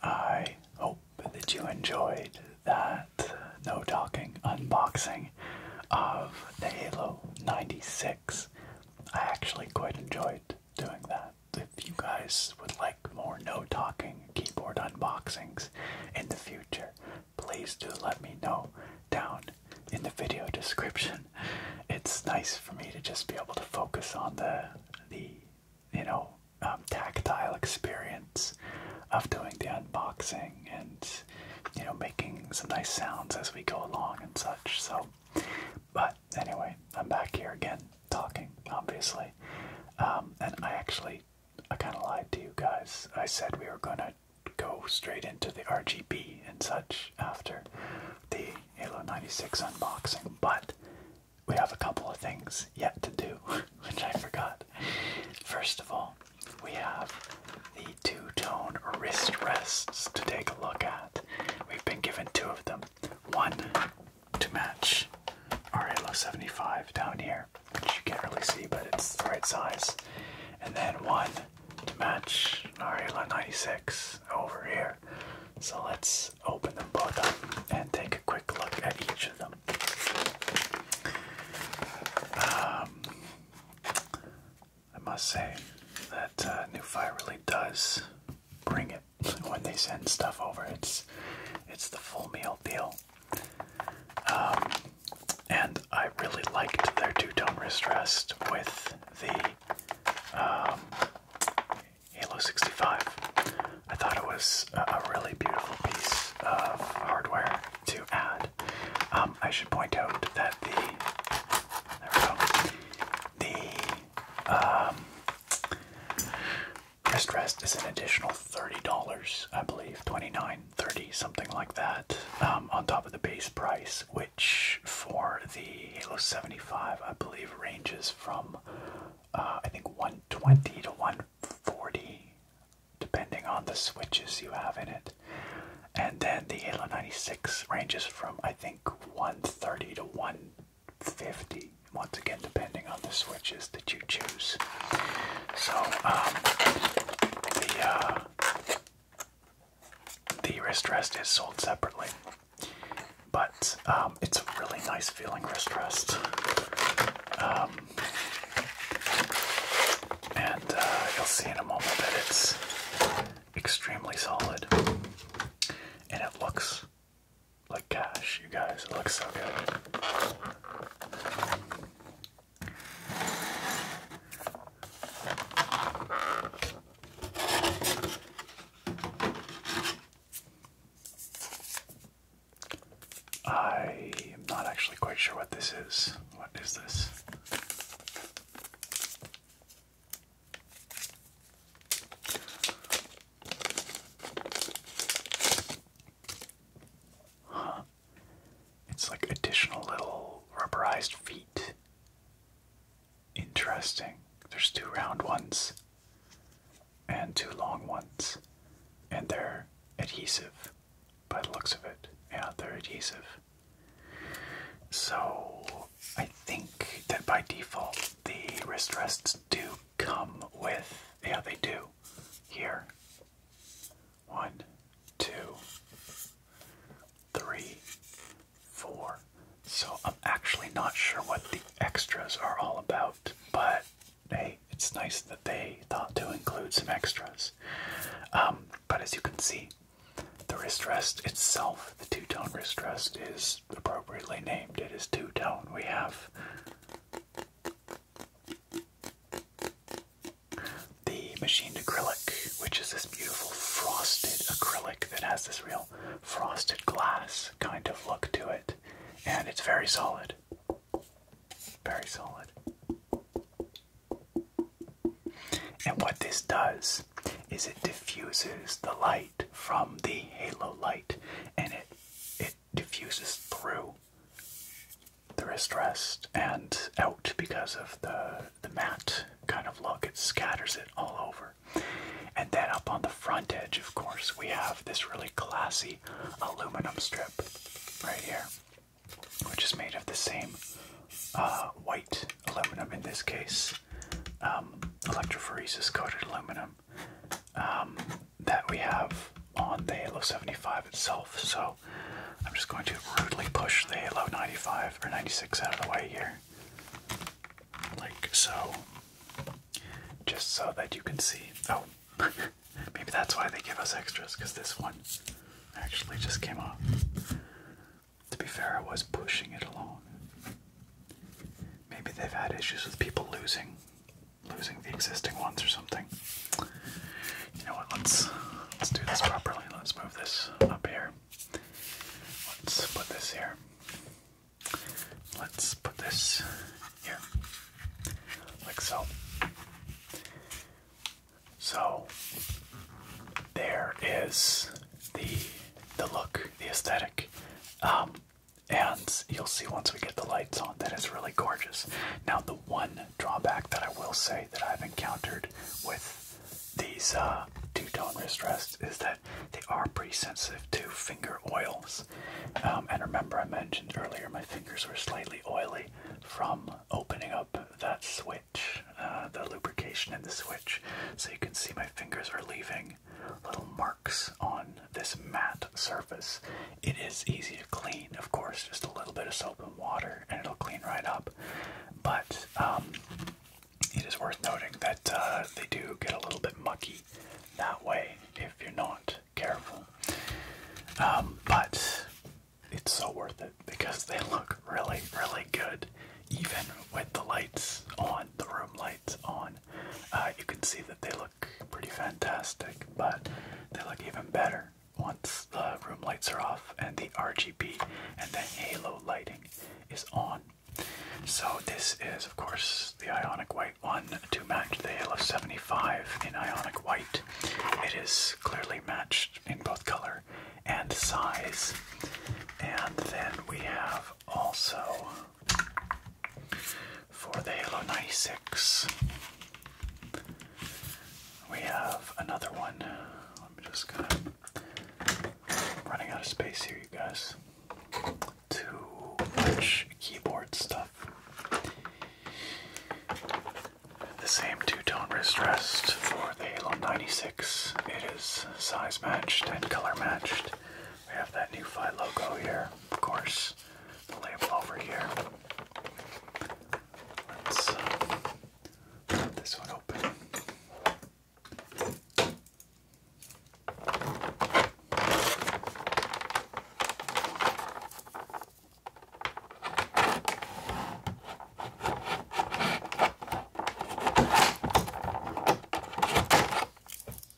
I hope that you enjoyed that no talking unboxing of the Halo 96. I actually quite enjoyed doing that if you guys would like more no talking keyboard unboxings in the future, please do let me know down in the video description. It's nice for me to just be able to focus on the the you know um, tactile experience of doing the unboxing and you know making some nice sounds as we go along and such. So, but anyway, I'm back here again talking, obviously. Um, and I actually, I kind of lied to you guys. I said we were going to go straight into the RGB and such after the Halo 96 unboxing, but we have a couple of things yet to do, which I forgot. First of all, we have the two-tone wrist rests to take a look at. We've been given two of them. One to match RLO 75 down here, which you can't really see, but it's the right size. And then one to match RLO 96 over here. So let's open them both up and take a quick look at each of them. Um, I must say that uh, New Fire really does bring it when they send stuff over. It's it's the full meal deal. Um, and I really liked their two-tone wrist rest with the um, Halo 65. I thought it was a, really beautiful piece of hardware to add. Um, I should point out that the there we go, the um, rest is an additional $30, I believe, 29 30 something like that, um, on top of the base price, which for the Halo 75, I believe, ranges from uh, I think 120 to 140, depending on the switches you have in it. And then the Halo 96 ranges from I think 130 to 1 50 once again depending on the switches that you choose so um, the uh, the wrist rest is sold separately but um, it's a really nice feeling wrist rest um, and uh, you'll see in a moment that it's extremely solid and it looks like cash, you guys. It looks so good. I am not actually quite sure what this is. What is this? It's like additional little rubberized feet. Interesting. There's two round ones and two long ones, and they're adhesive by the looks of it. Yeah, they're adhesive. So I think that by default the wrist rests do come with. Yeah, they do. Here. One, two, three, four. So I'm actually not sure what the extras are all about, but hey, it's nice that they thought to include some extras. Um, but as you can see, the wrist rest itself, the two-tone wrist rest, is appropriately named. It is two-tone. We have the machined acrylic, which is this beautiful frosted acrylic that has this real frosted glass kind of look to it, and it's very solid. Very solid. And what this does is it diffuses the light from the halo light and it it diffuses through the wrist rest and out because of the the matte kind of look. It scatters it all over. And then up on the front edge, of course, we have this really classy aluminum strip right here, which is made of the same uh, white aluminum in this case, um, coated aluminum um, that we have on the Halo 75 itself. So I'm just going to rudely push the Halo 95 or 96 out of the way here, like so, just so that you can see. Oh, maybe that's why they give us extras because this one actually just came off. To be fair, I was pushing it along. Maybe they've had issues with people losing losing the existing ones or something. You know what? Let's let's do this properly. Let's move this up here. Let's put this here. Let's put this here, like so. So there is the the look, the aesthetic. Um, and you'll see once we get the lights on that it's really gorgeous. Now, the one drawback that I will say that I've encountered with these uh, two-tone wrist rests is that they are pretty sensitive to finger oils. Um, and remember, I mentioned earlier my fingers were slightly oily from opening up that switch, uh, the lubrication in the switch. So you can see my fingers are leaving little marks on this matte surface. It is easy to clean, of course, just a little bit of soap and water, and it'll clean right up. But um, it is worth noting that uh, they do get a little bit mucky that way if you're not careful. Um, but it's so worth it because they look really, really good, even with the lights on, the room lights on. Uh, you can see that they look pretty fantastic, but they look even better once the room lights are off and the RGB and the halo lighting is on. So this is, of course, the Ionic White one to match the Halo 75 in Ionic White. It is clearly matched in both color and size. And then we have also for the Halo 96. We have another one. Let me just kind of running out of space here, you guys. Too much keyboard stuff. The same two-tone wrist rest for the Halo 96. It is size matched and color matched. We have that new fight logo here, of course put the label over here. Let's uh, put this one open.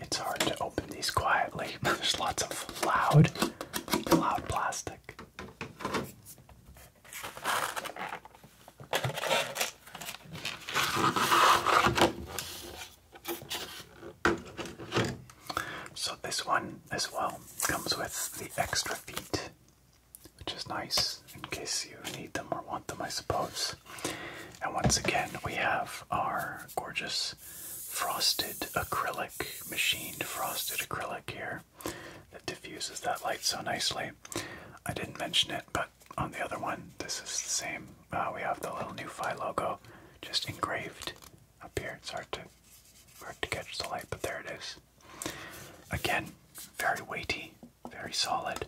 It's hard to open these quietly. There's lots of loud, loud plastic. So, this one as well comes with the extra feet, which is nice in case you need them or want them, I suppose. And once again, we have our gorgeous frosted acrylic, machined frosted acrylic here that diffuses that light so nicely. I didn't mention it, but on the other one, this is the same. Uh, we have the little NuFi logo just engraved up here. It's hard to hard to catch the light, but there it is. Again, very weighty, very solid.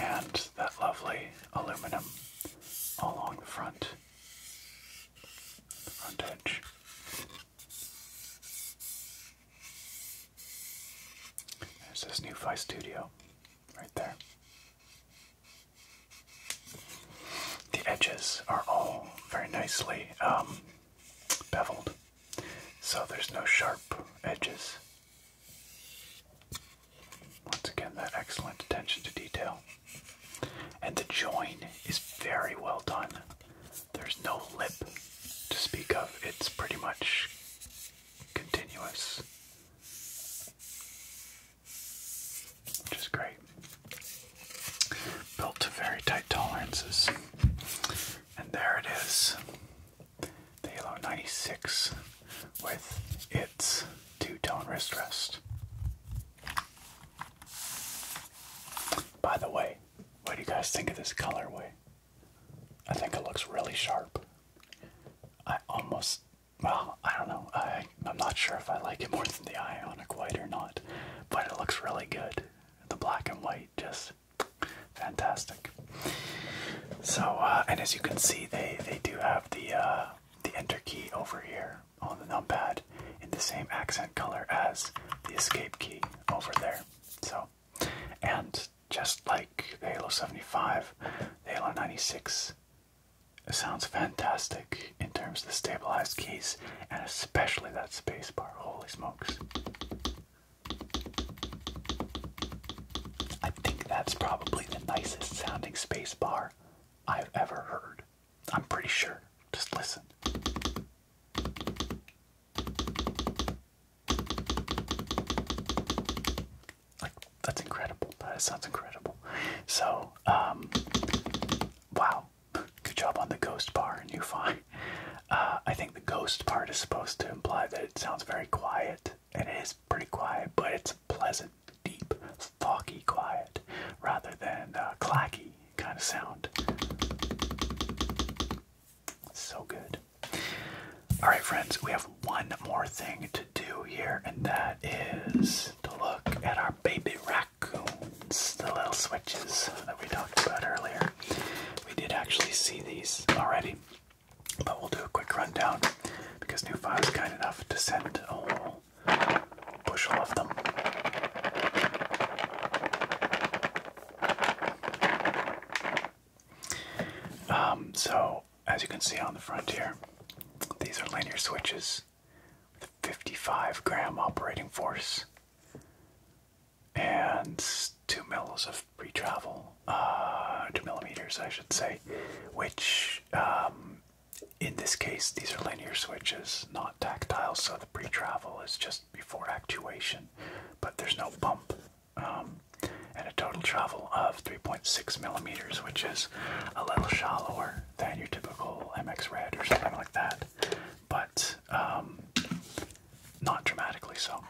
And that lovely aluminum along the front, front edge. There's this new Fi Studio right there. The edges are all very nicely um, beveled, so there's no sharp edges. Once again, that excellent attention to detail. And the join is very well done. There's no lip to speak of, it's pretty much continuous, which is great built to very tight tolerances. And there it is, the Halo 96 with its two-tone wrist rest. By the way, what do you guys think of this colorway? I think it looks really sharp. I almost, well, I don't know. I, I'm not sure if I like it more than the Ionic White or not, but it looks really good the black and white just fantastic so uh, and as you can see they they do have the uh, the enter key over here on the numpad in the same accent color as the escape key over there so and just like the halo 75 the halo 96 sounds fantastic in terms of the stabilized keys and especially that space bar. Holy smokes. I think that's probably the nicest sounding space bar I've ever heard. I'm pretty sure. Just listen. Like, that's incredible. That sounds incredible. So, um, wow. Good job on the ghost bar, new fine. Uh, I think the ghost part is supposed to imply that it sounds very quiet. and It is pretty quiet, but it's pleasant, deep, foggy quiet rather than uh, clacky kind of sound. So good. Alright, friends, we have one more thing to do here, and that is to look at our baby rabbit raccoons, the little switches that we talked about earlier. We did actually see these already, but we'll do a quick rundown because Newfile is kind enough to send a whole bushel of them. Um, so, as you can see on the front here, these are linear switches with a 55 gram operating force and two mils of pre-travel, uh, two millimeters, I should say, which um, in this case these are linear switches, not tactile, so the pre-travel is just before actuation, but there's no bump, um, and a total travel of 3.6 millimeters, which is a little shallower than your typical MX Red or something like that but um, not dramatically so.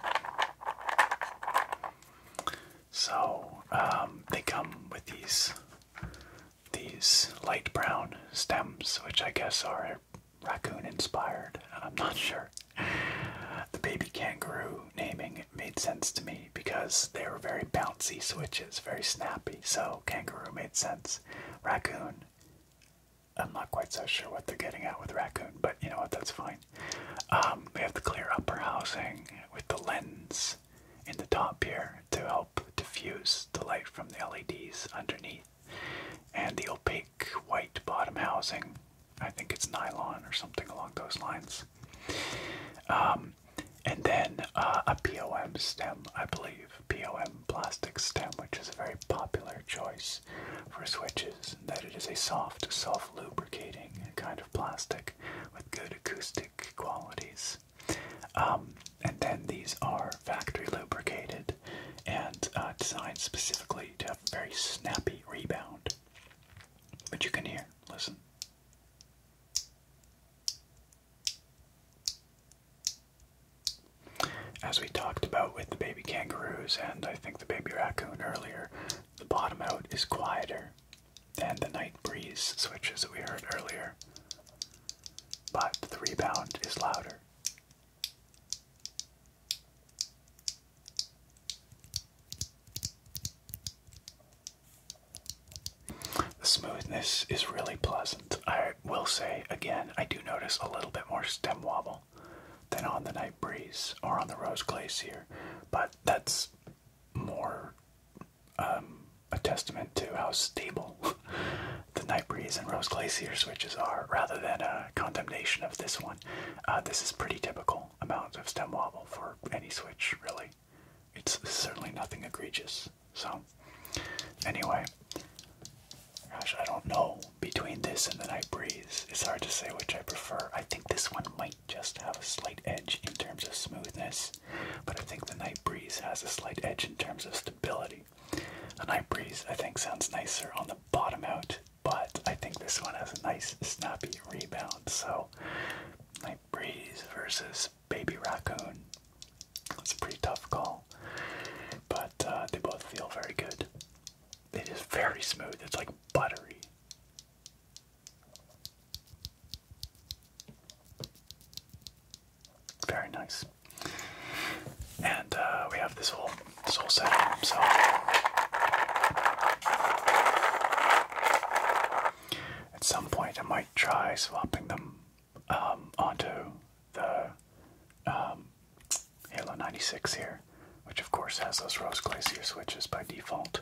So um, they come with these these light brown stems, which I guess are raccoon inspired. I'm not sure. The baby kangaroo naming made sense to me because they were very bouncy switches, very snappy. So kangaroo made sense. Raccoon I'm not quite so sure what they're getting at with raccoon, but you know what? That's fine. Um, we have the clear upper housing with the lens in the top here to help diffuse the light from the LEDs underneath, and the opaque white bottom housing. I think it's nylon or something along those lines. Um, and then uh, a POM stem, I believe. POM plastic stem, which is a very popular choice for switches, that it is a soft, self lubricating kind of plastic with good acoustic qualities. Um, and then these are factory lubricated and uh, designed specifically to have a very snappy rebound. But you can hear, listen. As we talked about with the baby kangaroos and I think the baby raccoon earlier, the bottom out is quieter than the night breeze switches we heard earlier, but the rebound is louder. The smoothness is really pleasant. I will say again, I do notice a little bit more stem wobble than on the Night Breeze or on the Rose Glacier, but that's more um, a testament to how stable the Night Breeze and Rose Glacier switches are, rather than a condemnation of this one. Uh, this is pretty typical amounts of stem wobble for any switch, really. It's certainly nothing egregious. So, anyway, Gosh, I don't know. Between this and the Night Breeze, it's hard to say which I prefer. I think this one might just have a slight edge in terms of smoothness, but I think the Night Breeze has a slight edge in terms of stability. The Night Breeze, I think, sounds nicer on the bottom out, but I think this one has a nice snappy rebound. So, Night Breeze versus Baby Raccoon. That's a pretty tough call, but uh, they both feel very good it is very smooth. It's like buttery. Very nice. And uh, we have this whole this whole setup. So at some point, I might try swapping them um, onto the um, Halo 96 here, which of course has those Rose Glacier switches by default.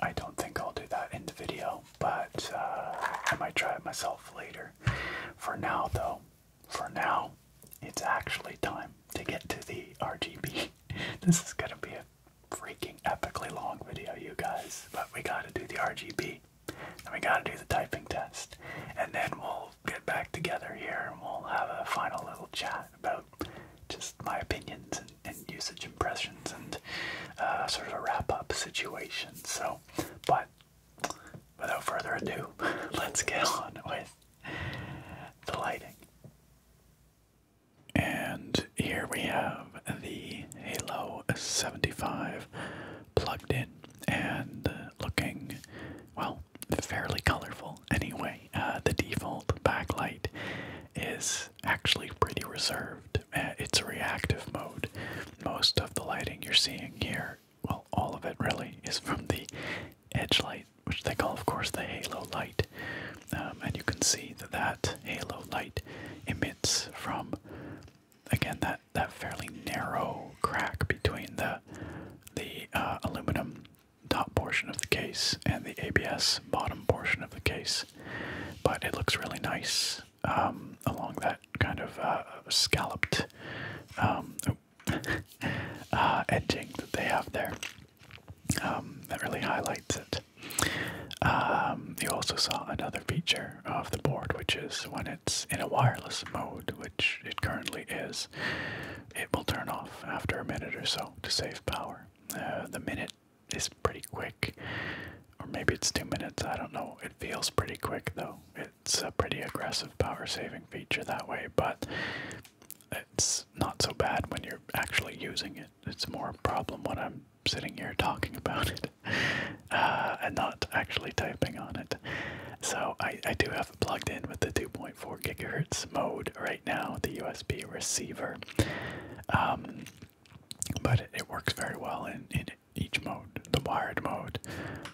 I don't think I'll do that in the video, but uh, I might try it myself later. For now, though, for now, it's actually time to get to the RGB. this is gonna be a freaking epically long video, you guys, but we gotta do the RGB, and we gotta do the typing test, and then we'll get back together here and we'll have a final little chat about just my opinions and, usage impressions and uh, sort of a wrap up situation. So, but without further ado, let's get on with the lighting. And here we have the Halo 75 plugged in and looking, well, fairly colorful anyway. Uh, the default backlight is actually pretty reserved. Uh, it's a reactive mode. Most of the lighting you're seeing here, well, all of it really, is from the edge light, which they call, of course, the halo light. Um, and you can see that that halo light emits from, again, that, that fairly narrow crack between the the uh, aluminum top portion of the case and the ABS bottom portion of the case, but it looks really nice um, along that kind of uh, scalloped um, uh, edging that they have there. Um, that really highlights it. you also saw another feature of the board, which is when it's in a wireless mode, which it currently is, it will turn off after a minute or so to save power. Uh, the minute is pretty quick, or maybe it's two minutes, I don't know. It feels pretty quick though. It's a pretty aggressive power saving feature that way, but it's not so bad when you're actually using it. It's more a problem when I'm sitting here talking about it uh, and not actually typing on it. So I, I do have it plugged in with the 2.0 point. Four gigahertz mode right now, the USB receiver. Um, but it works very well in, in each mode the wired mode,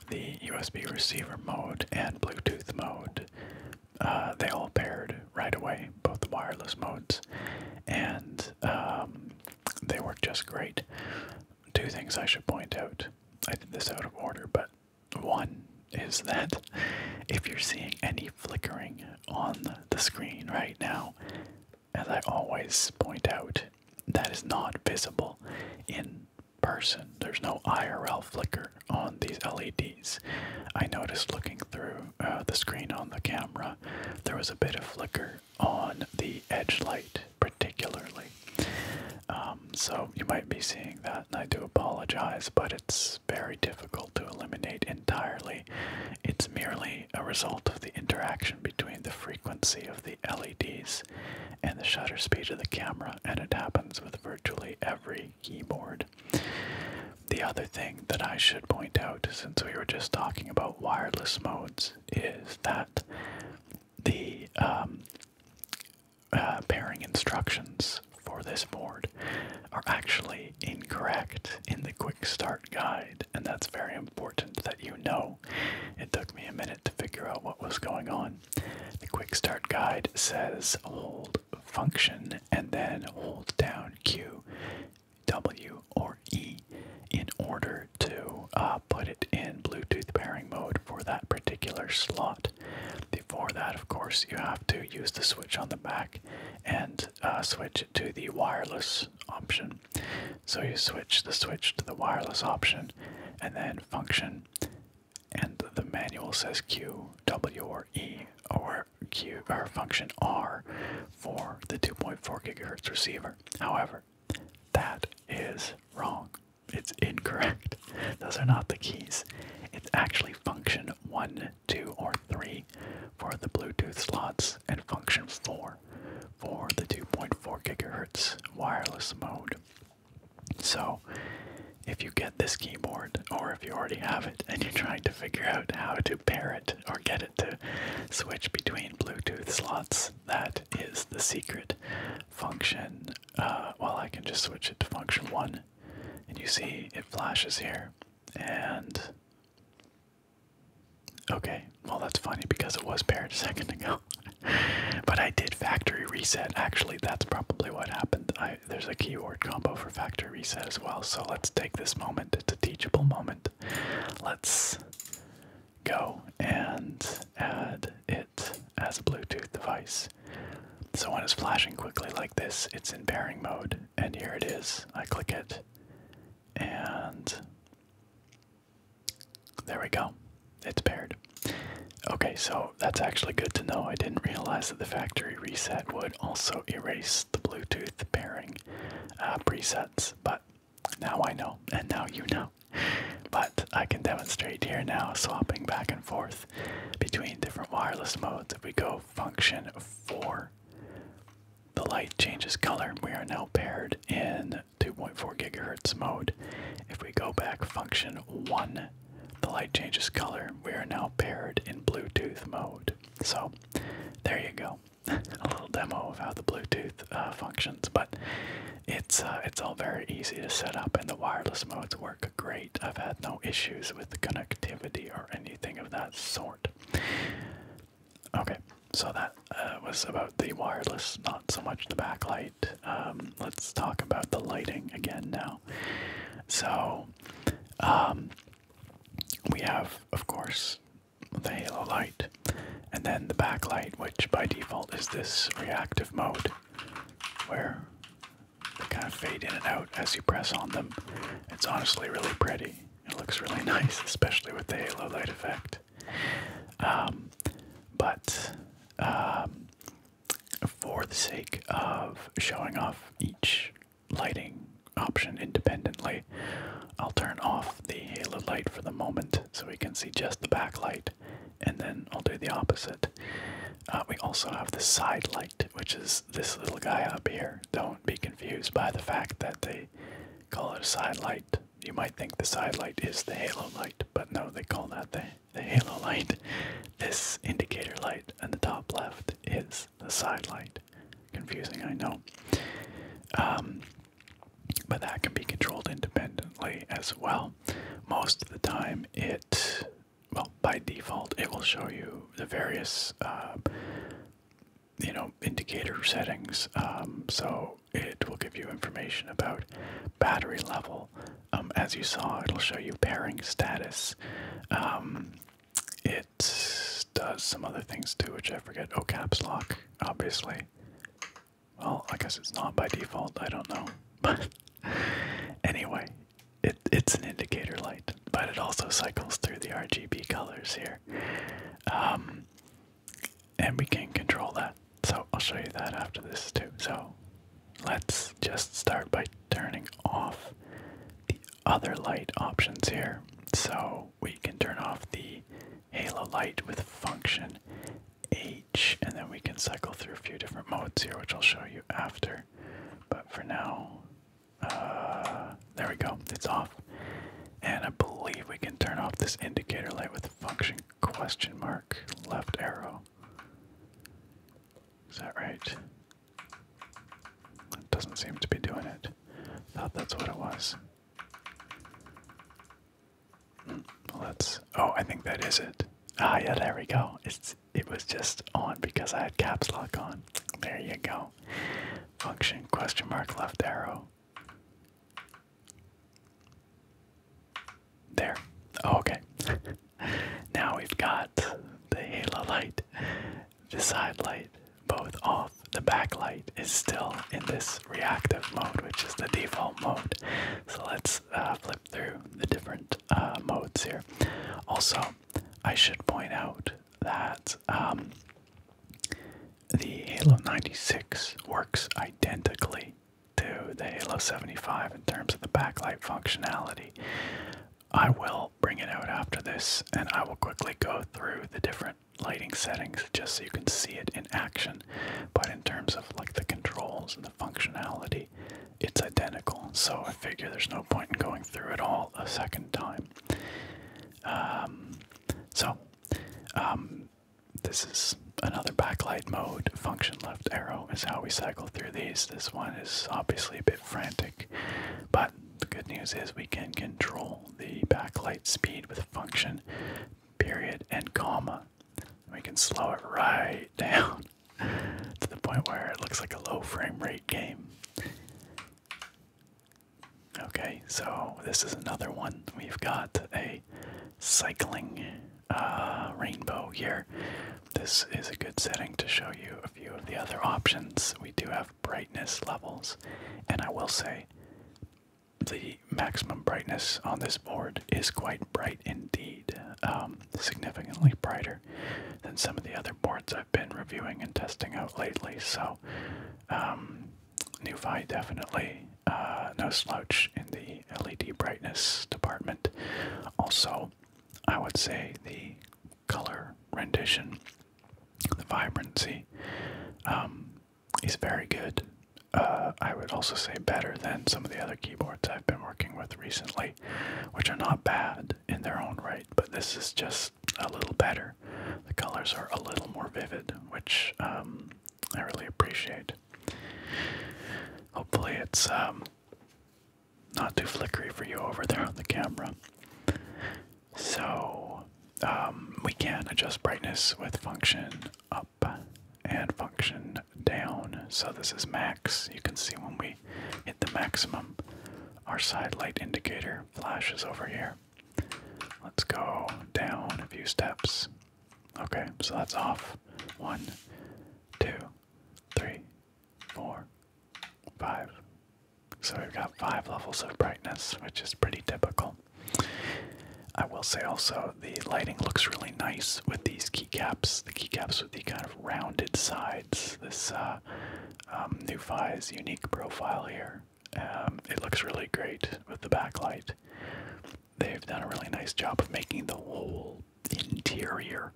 the USB receiver mode, and Bluetooth mode. Uh, they all paired right away, both wireless modes, and um, they work just great. Two things I should point out. I did this out of order, but one is that if you're seeing any flickering on the screen right now, as I always point out, that is not visible in person. There's no IRL flicker on these LEDs. I noticed looking through uh, the screen on the camera, there was a bit of flicker on the edge light, particularly. Um, so you might be seeing that, and I do apologize, but it's very difficult to eliminate entirely. It's merely a result of the interaction between the frequency of the LEDs and the shutter speed of the camera, and it happens with virtually every keyboard. The other thing that I should point out, since we were just talking about wireless modes, is that the um, pairing uh, instructions for this board are actually incorrect in the quick start guide, and that's very important that you know. It took me a minute to figure out what was going on. The quick start guide says hold function and then hold down Q, W, or E in order to uh, put it in Bluetooth pairing mode for that particular slot. Before that, of course, you have to use the switch on the back and uh, switch it to the wireless option. So you switch the switch to the wireless option and then function. And the manual says Q, W, or E, or Q, or function R for the 2.4 gigahertz receiver. However, that is wrong. It's incorrect. Those are not the keys. It's actually function 1, 2, or 3 for the Bluetooth slots, and function 4 for the 2.4 gigahertz wireless mode. So, if you get this keyboard, or if you already have it and you're trying to figure out how to pair it or get it to switch between Bluetooth slots, that is the secret function. Uh, well, I can just switch it to function 1 and you see it flashes here. And okay, well, that's funny because it was paired a second ago. but I did factory reset. Actually, that's probably what happened. there's a keyword combo for factory reset as well. So let's take this moment. It's a teachable moment. Let's go and add it as a Bluetooth device. So when it's flashing quickly like this, it's in pairing mode. And here it is. I click it. And there we go. It's paired. Okay, so that's actually good to know. I didn't realize that the factory reset would also erase the Bluetooth pairing uh, presets, but now I know, and now you know. But I can demonstrate here now, swapping back and forth between different wireless modes. If we go function 4, the light changes color. We are now paired in 2.4 gigahertz mode. If we go back function 1, the light changes color. We are now paired in Bluetooth mode. So there you go. A little demo of how the Bluetooth uh, functions, but it's uh, it's all very easy to set up, and the wireless modes work great. I've had no issues with the connectivity or anything of that sort. Okay, so that uh, was about the wireless, not so much the backlight. Um, let's talk about the lighting again now. So, um, we have, of course, the halo light, and then the backlight, which by default is this reactive mode, where they kind of fade in and out as you press on them. It's honestly really pretty. It looks really nice, especially with the halo light effect. Um, but um, for the sake of showing off each lighting option independently, I'll turn off the halo light for the moment so we can see just the backlight, and then I'll do the opposite. Uh, we also have the side light, which is this little guy up here. Don't be confused by the fact that they call it a side light. You might think the side light is the halo light, but no, they call that the, halo light. This indicator light in the top left is the side light. Confusing, I know. Um, but that can be controlled independently as well. Most of the time, it well, by default, it will show you the various, um, you know, indicator settings. Um, so it will give you information about battery level. Um, as you saw, it'll show you pairing status. it does some other things too, which I forget. Oh, caps lock, obviously. Well, I guess it's not by default. I don't know. But anyway, it, it's an indicator light, but it also cycles through the RGB colors here. Um, and we can control that. So I'll show you that after this too. So let's just start by turning off the other light options here. So we can turn off the halo light with function H, and then we can cycle through a few different modes here, which I'll show you after. But for now, uh, there we go. It's off. And I believe we can turn off this indicator light with function question mark left arrow. Is that right? doesn't seem to be doing it. Thought that's what it was. Hmm, well, that's. Oh, I think that is it. Ah, yeah, there we go. It's it was just on because I had caps lock on. There you go. Function question mark left arrow. There. Oh, okay. now we've got the halo light, the side light, both off. The backlight is still in this reactive mode, which is the default mode. So let's uh, flip through the different uh, modes here. Also, I should point out that um, the Halo 96 works identically to the Halo 75 in terms of the backlight functionality. I will bring it out after this and I will quickly go through the different lighting settings just so you can see it in action. But in terms of like the controls and the functionality, it's identical. So I figure there's no point in going through it all a second time. Um, so um, this is another backlight mode. Function left arrow is how we cycle through these. This one is obviously a bit frantic, but the good news is we can control the backlight speed with function period and comma. we can slow it right down to the point where it looks like a low frame rate game. Okay, so this is another one. We've got a cycling uh, rainbow here. This is a good setting to show you a few of the other options. We do have brightness levels, and I will say the maximum brightness on this board is quite bright indeed, um, significantly brighter than some of the other boards I've been reviewing and testing out lately. So, um, NuFi definitely uh, no slouch in the LED brightness department. Also, I would say the color rendition, the vibrancy, um, is very good. Uh, I would also say better than some of the other keyboards I've been working with recently, which are not bad, in their own right, but this is just a little better. The colors are a little more vivid, which um, I really appreciate. Hopefully, it's um, not too flickery for you over there on the camera. So, um, we can adjust brightness with function up and function down. So, this is max. You can see when we we hit the maximum, our side light indicator flashes over here. Let's go down a few steps. Okay, so that's off. One, two, three, four, five. So we've got five levels of brightness, which is pretty typical. I will say also the lighting looks really nice with these keycaps. The keycaps with the kind of rounded sides. This uh, uh, um, unique profile here. Um, it looks really great with the backlight. They've done a really nice job of making the whole interior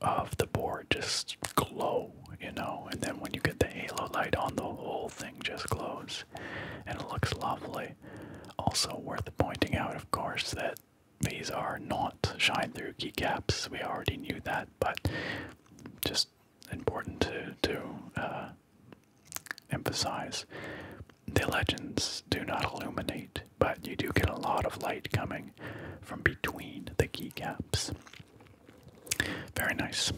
of the board just glow, you know, and then when you get the halo light on, the whole thing just glows and it looks lovely. Also, worth pointing out, of course, that these are not shine through keycaps. We already knew that, but just important to to uh, emphasize. The legends do not illuminate, but you do get a lot of light coming from between the keycaps. Very nice.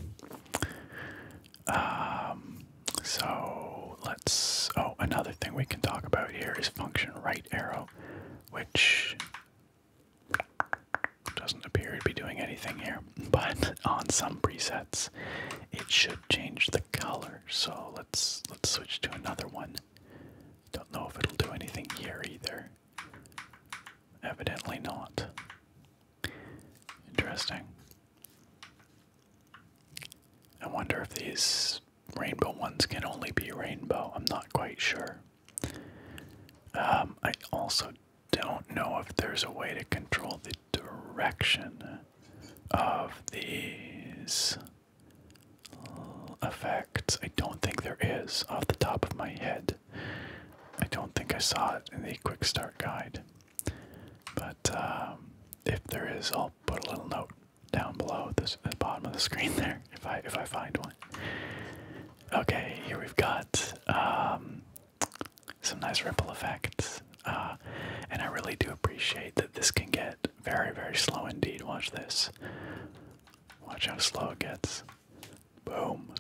Um, so let's. Oh, another thing we can talk about here is function right arrow, which doesn't appear to be doing anything here, but on some presets it should change the color. So let's let's switch to another one. Don't know if it'll do anything here either. Evidently not. Interesting. I wonder if these rainbow ones can only be rainbow. I'm not quite sure. Um, I also don't know if there's a way to control the direction of these effects. I don't think there is off the top of my head. I don't think I saw it in the quick start guide. But um, if there is, I'll put a little note down below at the bottom of the screen there if I if I find one. Okay, here we've got um, some nice ripple effects. Uh, and I really do appreciate that this can get very, very slow indeed. Watch this. Watch how slow it gets. Boom.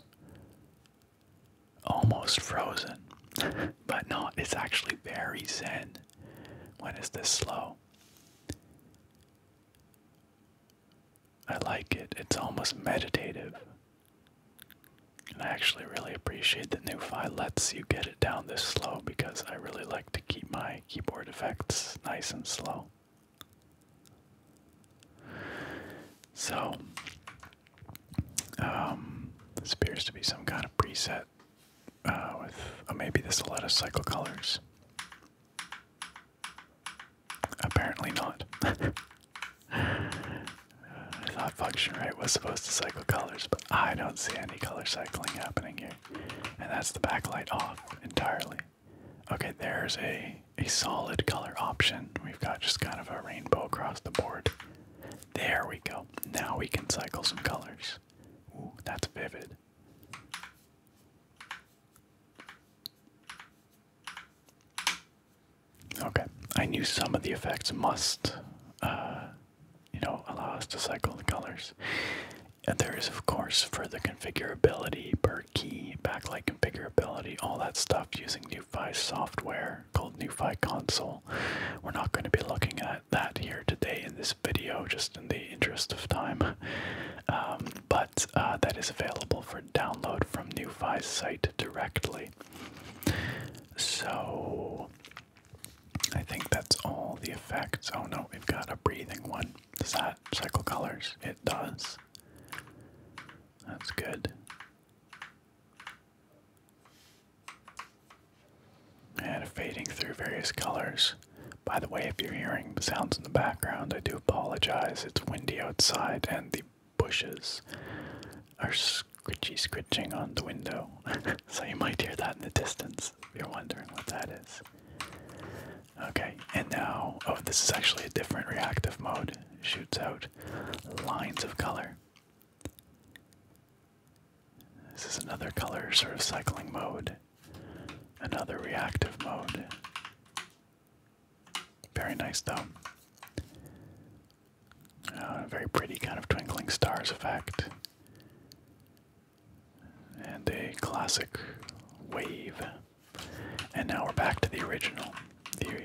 Almost frozen. but no, it's actually very zen When is this slow. I like it. It's almost meditative. And I actually really appreciate that NuFi lets you get it down this slow because I really like to keep my keyboard effects nice and slow. So, um, this appears to be some kind of preset uh, with, oh, maybe this will let us cycle colors. Apparently not. I thought function right was supposed to cycle colors, but I don't see any color cycling happening here. And that's the backlight off entirely. Okay, there's a a solid color option. We've got just kind of a rainbow across the board. There we go. Now we can cycle some colors. Ooh, that's vivid. Okay, I knew some of the effects must, uh, you know, allow us to cycle the colors. And there is, of course, further configurability per key, backlight configurability, all that stuff using NuFi software called NuFi Console. We're not going to be looking at that here today in this video, just in the interest of time. Um, but uh, that is available for download from NuFi's site directly. So I think that's all the effects. Oh no, we've got a breathing one. Does that cycle colors? It does. That's good. And fading through various colors. By the way, if you're hearing sounds in the background, I do apologize. It's windy outside and the bushes are scritchy scritching on the window. so you might hear that in the distance if you're wondering what that is. Okay, and now, oh, this is actually a different reactive mode. shoots out lines of color. This is another color sort of cycling mode, another reactive mode. Very nice, though. A uh, very pretty kind of twinkling stars effect. And a classic wave. And now we're back to the original, the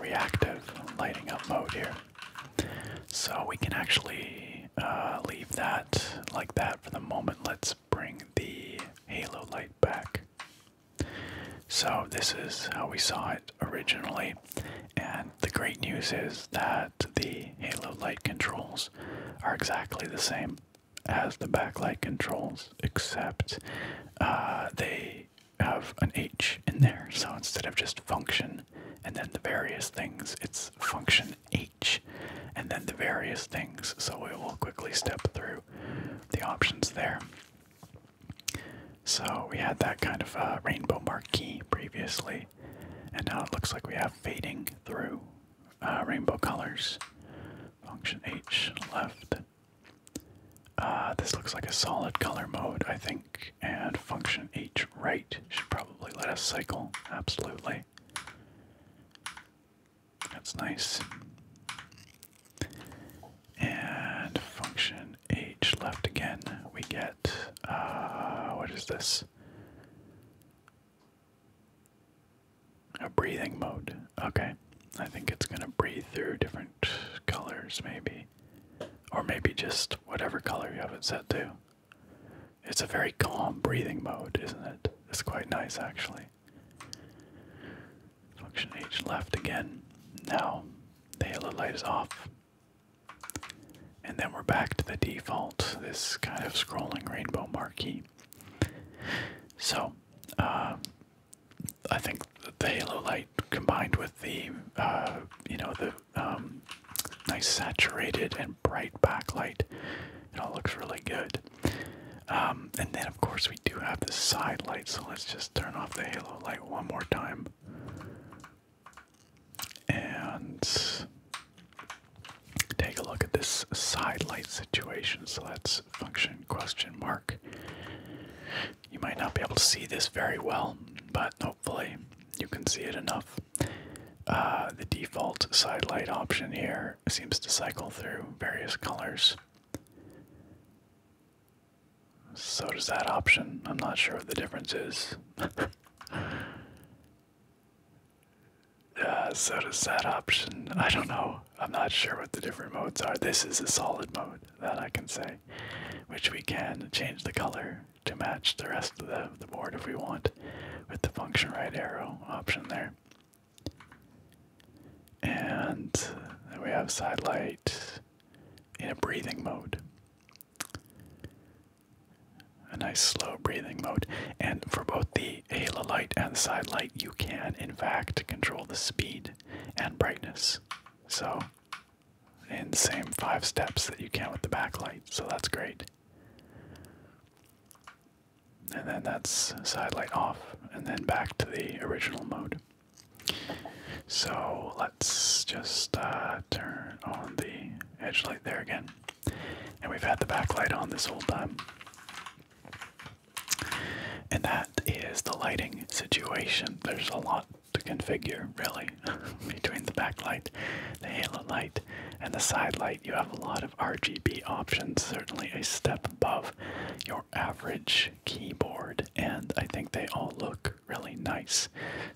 reactive lighting up mode here. So we can actually uh, leave that like that for the moment. Let's bring the halo light back. So, this is how we saw it originally. And the great news is that the halo light controls are exactly the same as the backlight controls, except uh, they have an H in there. So, instead of just function and then the various things, it's function H and then the various things. So, we will quickly step through the options there. So we had that kind of uh, rainbow marquee previously, and now it looks like we have fading through uh, rainbow colors. Function H left. Uh, this looks like a solid color mode, I think, and function H right should probably let us cycle, absolutely. That's nice. And function h left again, we get, uh, what is this? A breathing mode. Okay. I think it's going to breathe through different colors, maybe. Or maybe just whatever color you have it set to. It's a very calm breathing mode, isn't it? It's quite nice, actually. Function H left again. Now the halo light is off. And then we're back to the default, this kind of scrolling rainbow marquee. So, uh, I think the halo light combined with the, uh, you know, the um, nice saturated and bright backlight, it all looks really good. Um, and then of course, we do have the side light, so let's just turn off the halo light one more time. And take a look at this side light situation. So that's function question mark. You might not be able to see this very well, but hopefully you can see it enough. Uh, the default side light option here seems to cycle through various colors. So does that option. I'm not sure what the difference is. uh, so does that option. I don't know. I'm not sure what the different modes are. This is a solid mode, that I can say, which we can change the color to match the rest of the, the board if we want with the function right arrow option there. And we have side light in a breathing mode. A nice slow breathing mode. And for both the halo light and the side light, you can, in fact, control the speed and brightness. So, in the same five steps that you can with the backlight. So, that's great. And then that's side light off, and then back to the original mode. So let's just uh, turn on the edge light there again. And we've had the backlight on this whole time. And that is the lighting situation. There's a lot to configure, really, between the backlight, the halo light, and the side light. You have a lot of RGB options, certainly a step above your average keyboard, and I think they all look really nice.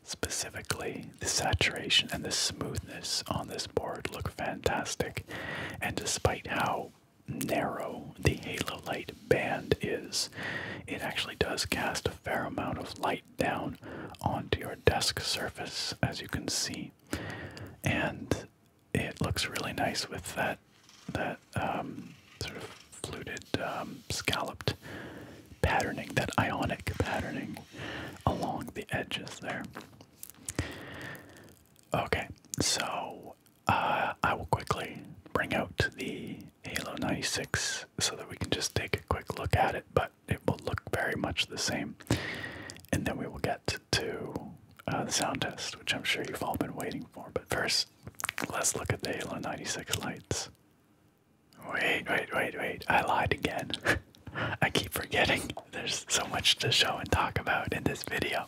Specifically, the saturation and the smoothness on this board look fantastic, and despite how narrow the halo light band is, it actually does cast a fair amount of light down onto your desk surface, as you can see. And it looks really nice with that, that um, sort of fluted, um, scalloped patterning, that ionic patterning along the edges there. Okay, so uh, I will quickly bring out the Halo 96 so that we can just take a quick look at it, but it will look very much the same. And then we will get to uh, the sound test, which I'm sure you've all been waiting for. But first, let's look at the Halo 96 lights. Wait, wait, wait, wait. I lied again. I keep forgetting there's so much to show and talk about in this video.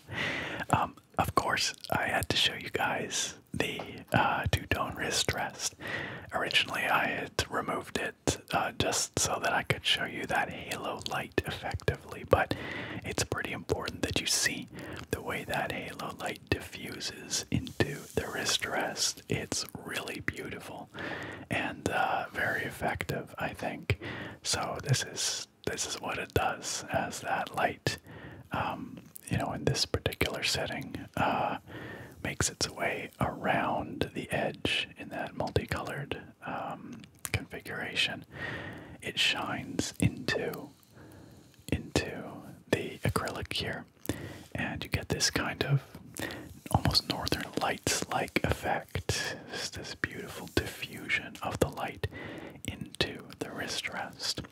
Um, of course, I had to show you guys the uh, two tone wrist rest. Originally, I had removed it uh, just so that I could show you that halo light effectively, but it's pretty important that you see the way that halo light diffuses into the wrist rest. It's really beautiful and uh, very effective, I think. So this is this is what it does as that light, um, you know, in this particular setting, uh, makes its way around the edge in that multicolored um, configuration. It shines into into the acrylic here, and you get this kind of almost northern lights like effect. this beautiful diffusion of the light into the wrist rest.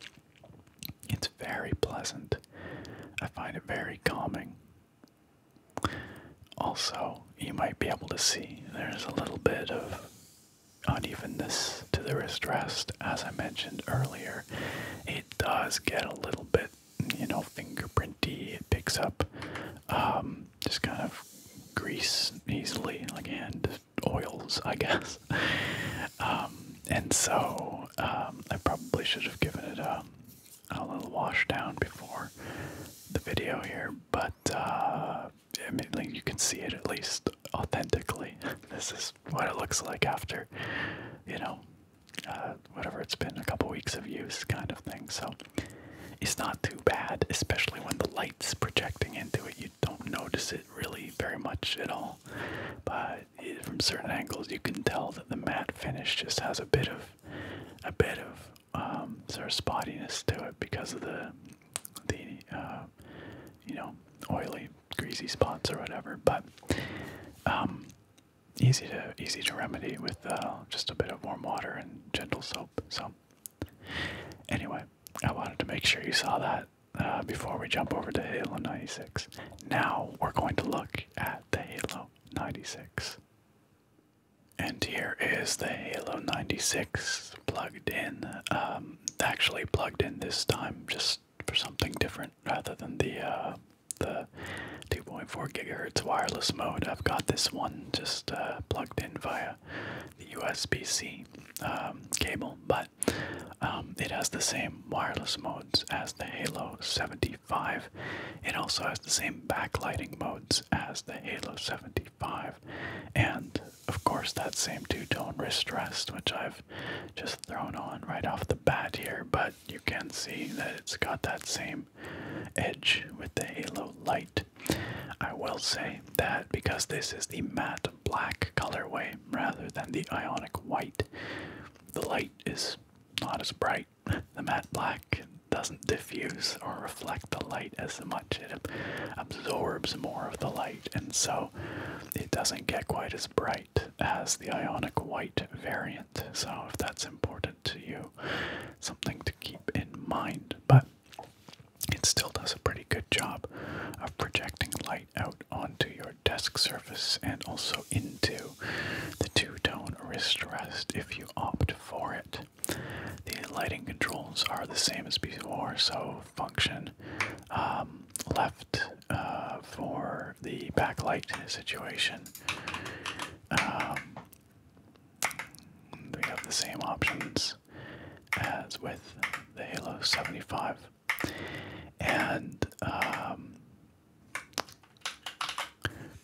It's very pleasant. I find it very calming. Also, you might be able to see there's a little bit of unevenness to the wrist rest, as I mentioned earlier. It it does get a little bit, you know, fingerprinty. It picks up um, just kind of grease easily, like and oils, I guess. Um, and so um, I probably should have given it a, a little wash down before the video here, but uh, I you can see it at least authentically. This is what it looks like after, you know, uh, whatever it's been, a couple weeks of use kind of thing. So it's not too bad, especially when the light's projecting into it. You don't notice it really very much at all. But eh, from certain angles, you can tell that the matte finish just has a bit of, a bit of um, sort of spottiness to it because of the, the uh, you know, oily greasy spots or whatever, but um, easy to easy to remedy with uh, just a bit of warm water and gentle soap. So anyway, I wanted to make sure you saw that uh, before we jump over to Halo 96. Now we're going to look at the Halo 96. And here is the Halo 96 plugged in. Um, actually plugged in this time, just for something different rather than the uh, the 2.4 gigahertz wireless mode. I've got this one just uh, plugged in via the USB-C um, cable, but um, it has the same wireless modes as the Halo 75. It also has the same backlighting modes as the Halo 75, and of course that same two-tone wrist rest, which I've just thrown on right off the bat here, but you can see that it's got that same edge with the halo light. I will say that because this is the matte black colorway rather than the ionic white, the light is not as bright. The matte black doesn't diffuse or reflect the light as much. It absorbs more of the light, and so it doesn't get quite as bright white as the ionic white variant. So if that's important to you, something to keep in mind. But it still does a pretty good job of projecting light out onto your desk surface and also into the two-tone wrist rest if you opt for it. The lighting controls are the same as before, so function um, left uh, for the backlight situation. Um, we have the same options as with the Halo 75. And um,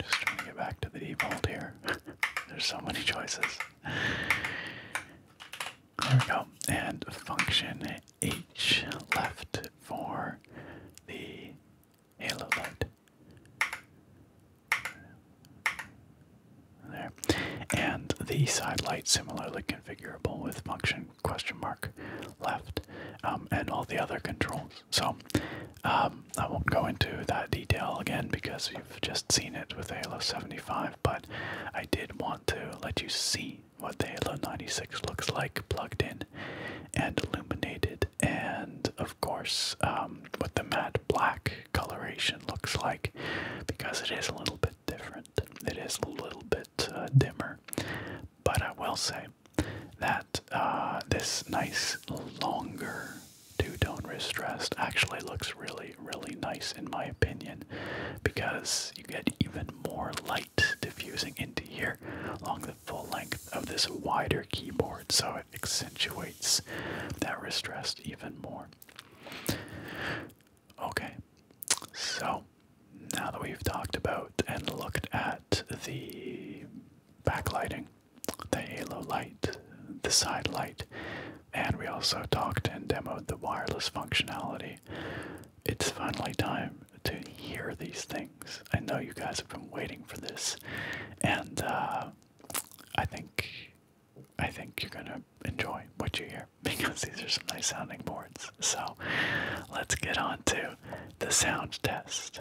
just trying to get back to the default here. There's so many choices. There we go. And function H left for the halo light. There. And the side light similarly configurable with function question mark left um, and all the other controls. So um, I won't go into that detail again because you've just seen it with Halo 75, but I did want to let you see what the Halo 96 looks like plugged in and illuminated, and of course, um, what the matte black coloration looks like because it is a little bit different, it is a little bit uh, dimmer. But I will say that uh, this nice, longer two tone distressed actually looks really, really nice in my opinion because you get even more light diffusing into here along full length of this wider keyboard, so it accentuates that wrist rest even more. Okay, so now that we've talked about and looked at the backlighting, the halo light, the side light, and we also talked and demoed the wireless functionality, it's finally time to hear these things. I know you guys have been waiting for this, and uh, I think I think you're gonna enjoy what you hear because these are some nice sounding boards. So let's get on to the sound test.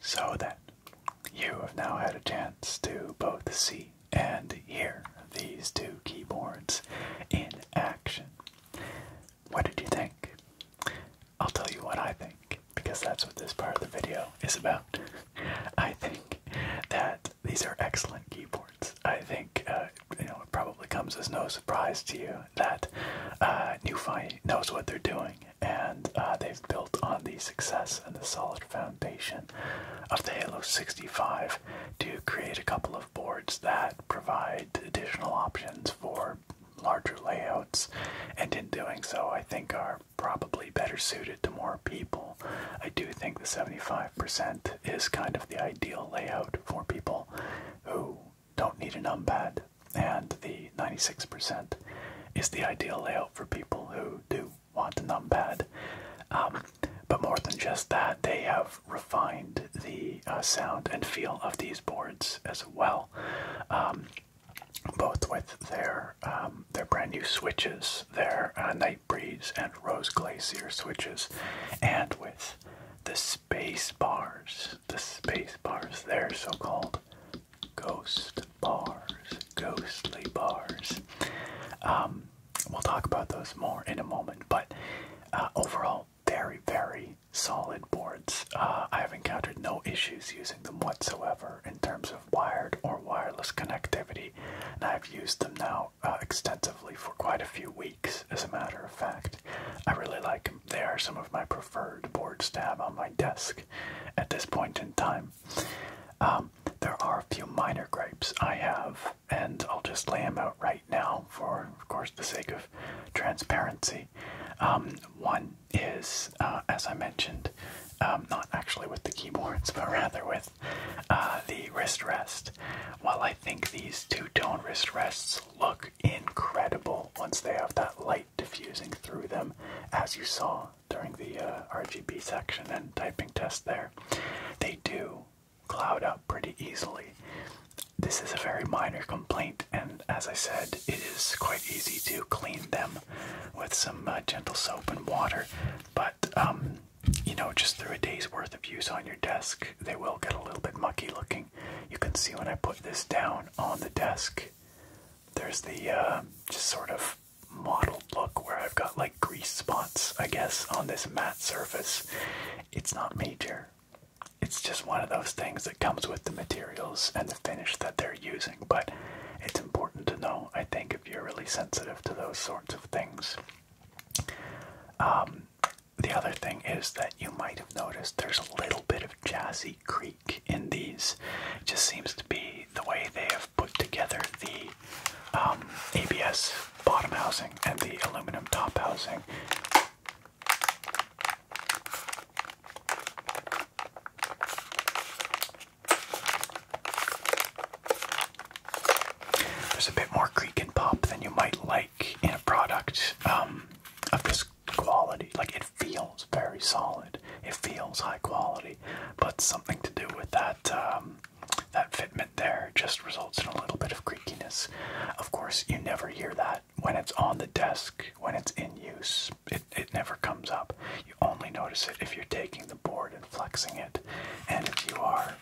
So then, you have now had a chance to both see and hear these two keyboards in action. What did you think? I'll tell you what I think, because that's what this part of the video is about. I think that these are excellent keyboards. I think uh, you know it probably comes as no surprise to you that uh, Newfi knows what they're doing, and uh, they've built on the success and the solid foundation of the Halo 65 to create a couple of boards that provide additional options for larger layouts, and in doing so, I think are probably better suited to more people. I do think the 75% is kind of the ideal layout for people who don't need a numpad, and the 96% is the ideal layout for people who do want a numpad. Um, but more than just that, they have refined the uh, sound and feel of these boards as well. Um, both with their um, their brand new switches, their uh, Night Breeze and Rose Glacier switches, and with the space bars, the space bars, their so called ghost bars, ghostly bars. Um, we'll talk about those more in a moment, but uh, overall, very, very solid boards. Uh, I have encountered no issues using them whatsoever in terms of wired or wireless connectivity, and I've used them now uh, extensively for quite a few weeks, as a matter of fact. I really like them. They are some of my preferred boards to have on my desk at this point in time. Um, there are a few minor gripes I have, and I'll just lay them out right now for, of course, the sake of transparency. Um, one, is, uh, as I mentioned, um, not actually with the keyboards, but rather with uh, the wrist rest. While I think these two-tone wrist rests look incredible once they have that light diffusing through them, as you saw during the uh, RGB section and typing test there, they do cloud up pretty easily. This is a very minor complaint, and as I said, it is quite easy to clean them with some uh, gentle soap and water. But, um, you know, just through a day's worth of use on your desk, they will get a little bit mucky looking. You can see when I put this down on the desk, there's the uh, just sort of mottled look where I've got like grease spots, I guess, on this matte surface. It's not major, it's just one of those things that comes with the materials and the finish that they're using, but it's important to know, I think, if you're really sensitive to those sorts of things. Um, the other thing is that you might have noticed there's a little bit of Jazzy Creek in these. It just seems to be the way they have put together the um, ABS bottom housing and the aluminum top housing. There's a bit more creak and pop than you might like in a product um, of this quality. Like it feels very solid, it feels high quality, but something to do with that um, that fitment there just results in a little bit of creakiness. Of course, you never hear that when it's on the desk, when it's in use, it, it never comes up. You only notice it if you're taking the board and flexing it, and if you are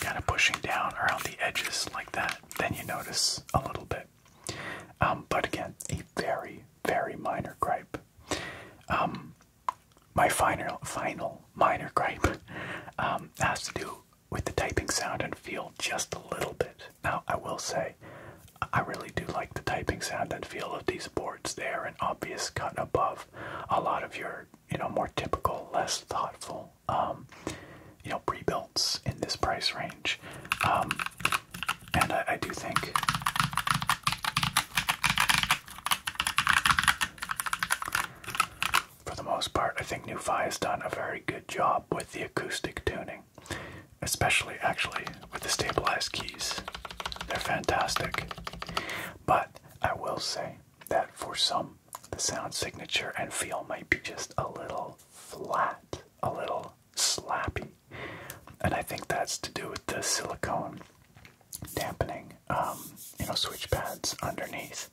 kind of pushing down around the edges like that, then you notice a little bit. Um, but again, a very, very minor gripe. Um, my final, final minor gripe um, has to do with the typing sound and feel just a little bit. Now, I will say, I really do like the typing sound and feel of these boards. They are an obvious cut above a lot of your, you know, more typical, less thoughtful, um, you know, pre-builts in this price range. Um, and I, do think for the most part, I think NuFi has done a very good job with the acoustic tuning, especially actually with the stabilized keys. They're fantastic. But I will say that for some, the sound signature and feel might be just a little flat, a little slappy. And I think that's to do with the silicone dampening, um, you know, switch pads underneath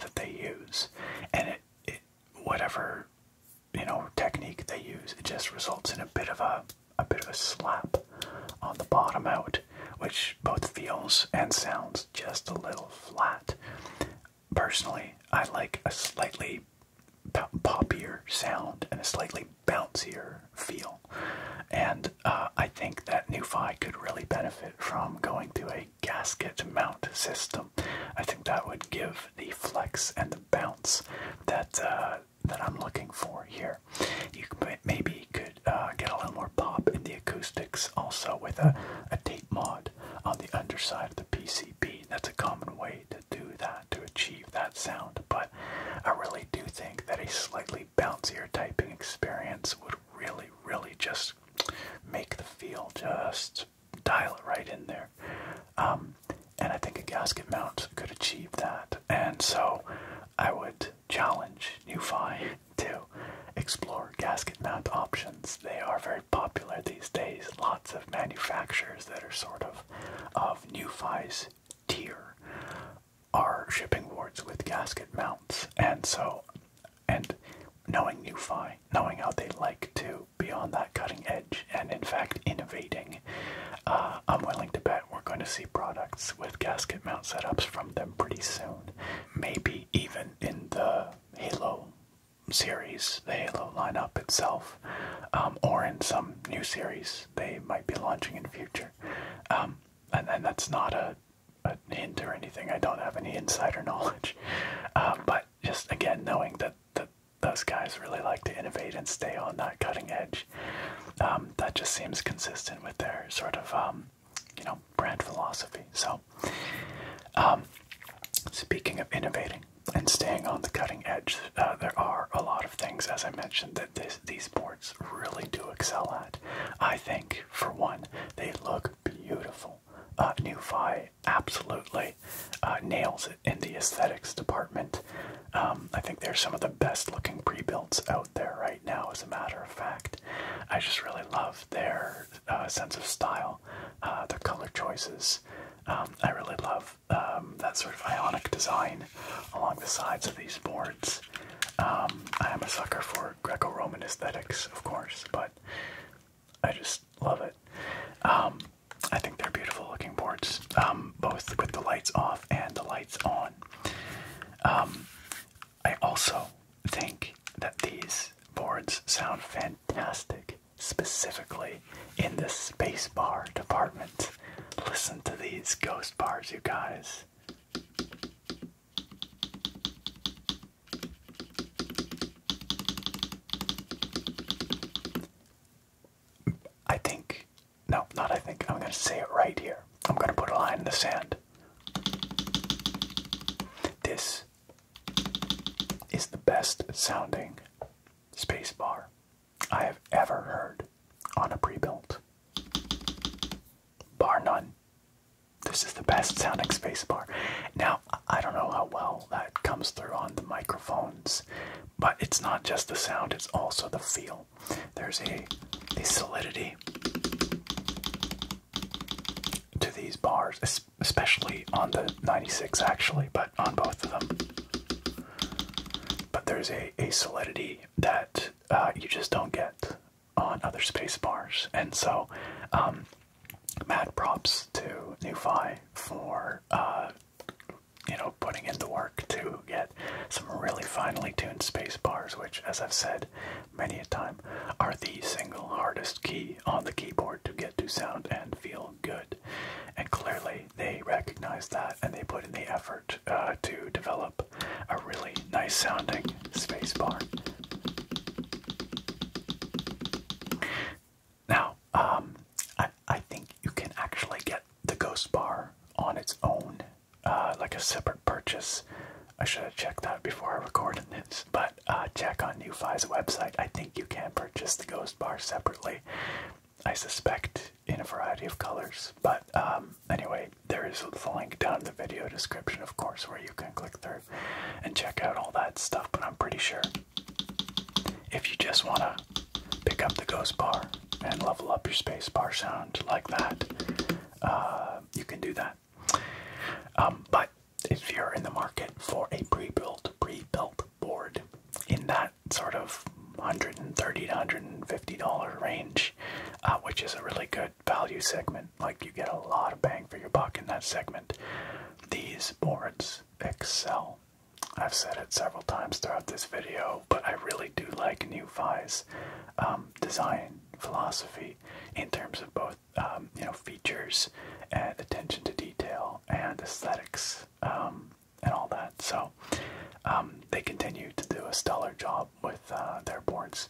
that they use. And it whatever you know technique they use, it just results in a bit of a a bit of a slap on the bottom out, which both feels and sounds just a little flat. Personally, I like a slightly poppier sound and a slightly bouncier feel, and uh, I think that NuFi could really benefit from going to a gasket mount system. I think that would give the flex and the bounce that uh, that I'm looking for here. You maybe could uh, get a little more pop in the acoustics also with a, a tape mod on the underside of the PCB. That's a common way to do that, to achieve that sound, but I really do think that a slightly bouncier typing experience would really, really just make the feel just dial it right in there. Um, and I think a gasket mount could achieve that. And so I would challenge NuFi to explore gasket mount options. They are very popular these days. Lots of manufacturers that are sort of of NuFi's tier are shipping wards with gasket mounts. And so, and knowing NuFi, knowing how they like to be on that cutting edge and, in fact, innovating, uh, I'm willing to bet we're going to see products with gasket mount setups from them pretty soon. Maybe even in the Halo series, the Halo lineup itself, um, or in some new series they might be launching in the future. Um, and, and that's not a, hint or anything. I don't have any insider knowledge, uh, but just again knowing that that those guys really like to innovate and stay on that cutting edge. Um, that just seems consistent with their sort of, um, you know, brand philosophy. So, um, speaking of innovating and staying on the cutting edge, uh, there are a lot of things, as I mentioned, that this, these boards really do excel at. I think, for one, they look beautiful. Uh, new Fi absolutely uh, nails in the aesthetics department. Um, I think they're some of the best looking pre builds out there right now, as a matter of fact. I just really love their uh, sense of style, uh, their color choices. Um, I really love um, that sort of ionic design along the sides of these boards. I am a sucker for Greco Roman aesthetics, of course, but I just love it. Um, I think they're beautiful looking boards, um, both with the lights off and the lights on. Um, I also think that these boards sound fantastic, specifically in the space bar department. Listen to these ghost bars, you guys. I think, no, not I think, I'm going to say it right here. I'm going to put a line in the sand. This is the best sounding spacebar I have ever heard on a pre-built. Bar none. This is the best sounding spacebar. Now I don't know how well that comes through on the microphones, but it's not just the sound, it's also the feel. There's a, a solidity to these bars, especially on the 96 actually, but on both of them. But there's a, a solidity that uh, you just don't get on other space bars. And so, um, mad props to NuFi for uh, you know, putting in the work to get some really finely tuned space bars, which, as I've said many a time, are the single hardest key on the keyboard to get to sound and feel good. And clearly, they recognize that and they put in the effort uh, to develop a really nice sounding space bar. Now, um, I, I think you can actually get the Ghost Bar on its own, uh, like a separate purchase. I should have checked that before I recorded this, but uh, check on NewFi's website. I think you can purchase the Ghost Bar separately. I suspect in a variety of colors, but um, anyway, there is the link down in the video description, of course, where you can click through and check out all that stuff. But I'm pretty sure if you just want to pick up the ghost bar and level up your space bar sound like that, uh, you can do that. Um, but if you're in the market for a pre-built, pre-built board in that sort of 130 to 150 dollar range, uh, which is a really good value segment, like you get a lot of bang for your buck in that segment. These boards excel I've said it several times throughout this video, but I really do like New Vi's um, design philosophy in terms of both um, you know features and attention to detail and aesthetics um, and all that. So they continue to do a stellar job with uh, their boards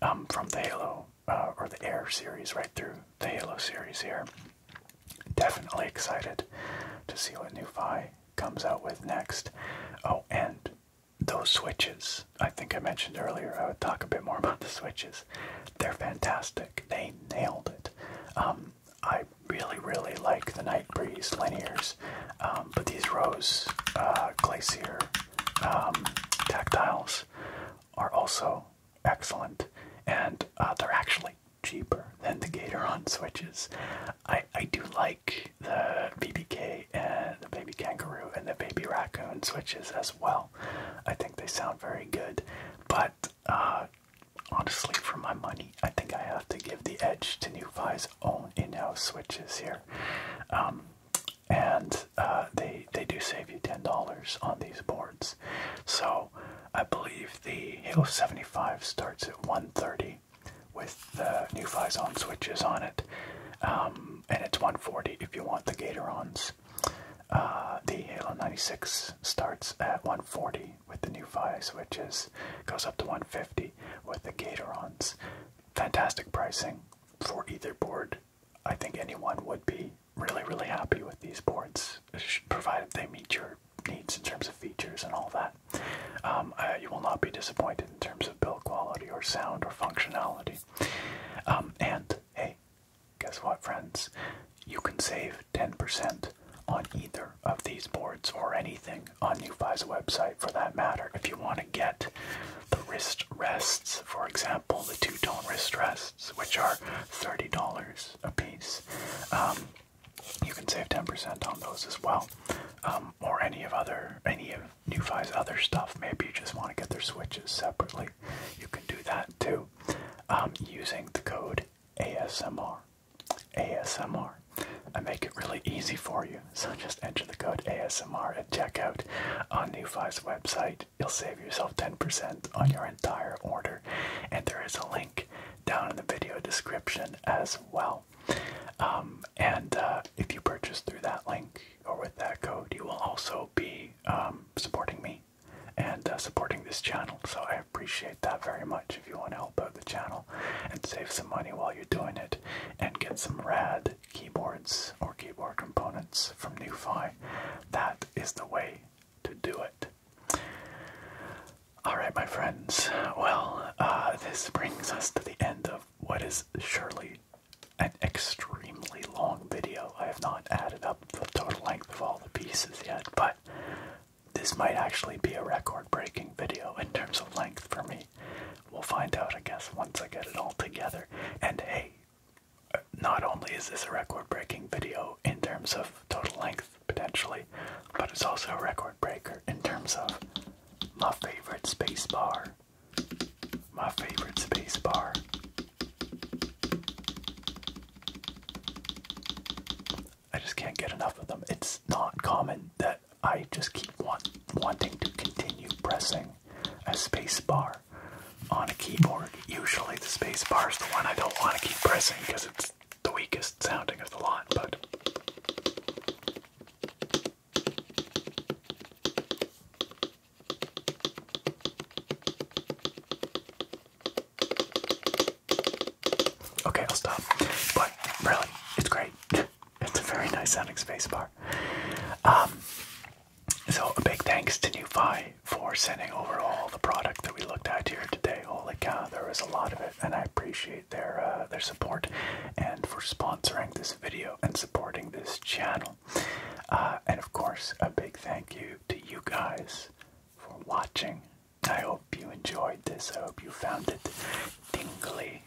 from the Halo uh, or the Air series right through the Halo series here. Definitely excited to see what new Phi comes out with next. Oh, and those switches. I think I mentioned earlier I would talk a bit more about the switches. They're fantastic. They nailed it. Um, I really, really like the Night Breeze linears, um, but these Rose uh, Glacier um, tactiles are also excellent, and uh, they're actually cheaper than the Gatoron switches. I I do like the BBK and the Baby Kangaroo and the Baby Raccoon switches as well. I think they sound very good, but uh, honestly, for my money, I think I have to give the edge to NuFi's own in-house switches here. Um, and uh, they they do save you ten dollars on these boards, so I believe the Halo 75 starts at 1:30 with the new Fly Zone switches on it, um, and it's 1:40 if you want the Gatorons. Uh, the Halo 96 starts at 1:40 with the new Fly switches, goes up to 1:50 with the Gatorons. Fantastic pricing for either board. I think anyone would be really, really happy with these boards, provided they meet your needs in terms of features and all that. Um, you will not be disappointed in terms of build quality or sound or functionality. Um, and hey, guess what, friends? You can save 10% on either of these boards or anything on NuFi's website for that matter. If you want to get the wrist rests, for example, the two tone wrist rests, which are $30 a piece. Um, you can save 10% on those as well. Um, or any of other any of NuFi's other stuff. Maybe you just want to get their switches separately. You can do that too um, using the code ASMR. ASMR. I make it really easy for you. So just enter the code ASMR at checkout on NuFi's website. You'll save yourself 10% on your entire order. And there is a link down in the video description as well. Um, and uh, if you purchase through that link or with that code, you will also be um, supporting me and uh, supporting this channel. So I appreciate that very much if you want to help out the channel and save some money while you're doing it and get some rad keyboards or keyboard components from NuFi. That is the way to do it. All right, my friends. Well, uh, this brings us to the end of what is surely an extremely long video. I have not added up the total length of all the pieces yet, but this might actually be a record breaking video in terms of length for me. We'll find out, I guess, once I get it all together. And hey, not only is this a record breaking video in terms of total length, potentially, but it's also a record breaker in terms of my favorite space bar. My favorite space bar. I just can't get enough of them. It's not common that I just keep wanting to continue pressing a space bar on a keyboard. Usually the space bar is the one I don't want to keep pressing because it's the weakest sounding of the lot, but Okay, I'll stop. But really, it's great. it's a very nice sounding spacebar. Um, so a big thanks to NewFi for sending over all the product that we looked at here today. Holy cow, there was a lot of it, and I appreciate their uh, their support and for sponsoring this video and supporting this channel. Uh, and of course, a big thank you to you guys for watching. I hope you enjoyed this. I hope you found it tingly,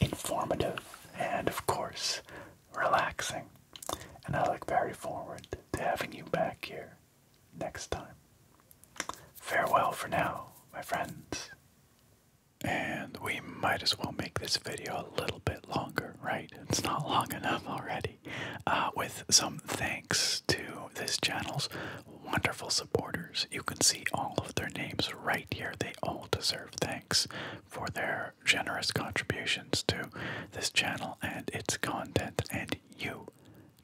informative, and of course, relaxing. And I look very forward to having you back here next time. Farewell for now, my friends. And we might as well make this video a little bit longer, right? It's not long enough already. Uh, with some thanks to this channel's wonderful supporters. You can see all of their names right here. They all deserve thanks for their generous contributions to this channel and its content, and you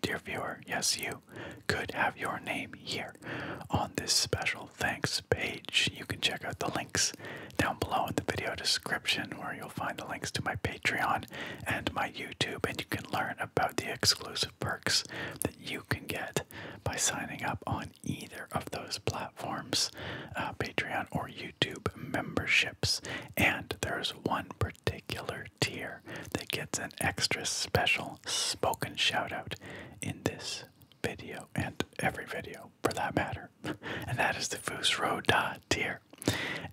Dear viewer, yes, you could have your name here on this special thanks page. You can check out the links down below in the video description where you'll find the links to my Patreon and my YouTube, and you can learn about the exclusive perks that you can get by signing up on either of those platforms uh, Patreon or YouTube memberships. And there's one particular tier that gets an extra special spoken shout out in this video and every video for that matter. and that is the Foos Da tier.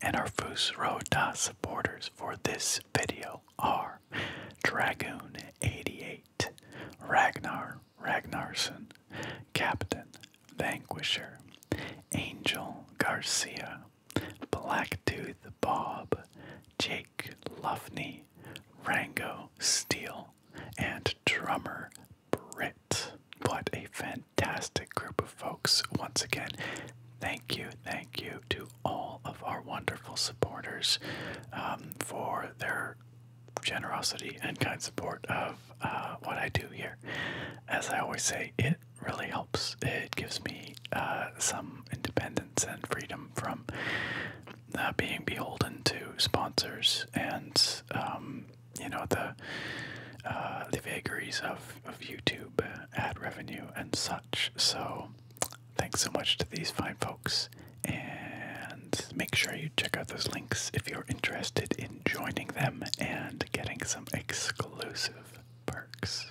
And our Foos Da supporters for this video are Dragoon88, Ragnar Ragnarson, Captain Vanquisher, Angel Garcia, Blacktooth Bob, Jake Luffney, Rango Steele, and drummer Britt. What a fantastic group of folks. Once again, thank you, thank you to all of our wonderful supporters um, for their generosity and kind support of uh, what I do here. As I always say, it really helps. It gives me uh, some independence and freedom from uh, being beholden to sponsors and um, you know the uh, the vagaries of, of YouTube ad revenue and such. So thanks so much to these fine folks and make sure you check out those links if you're interested in joining them and getting some exclusive perks.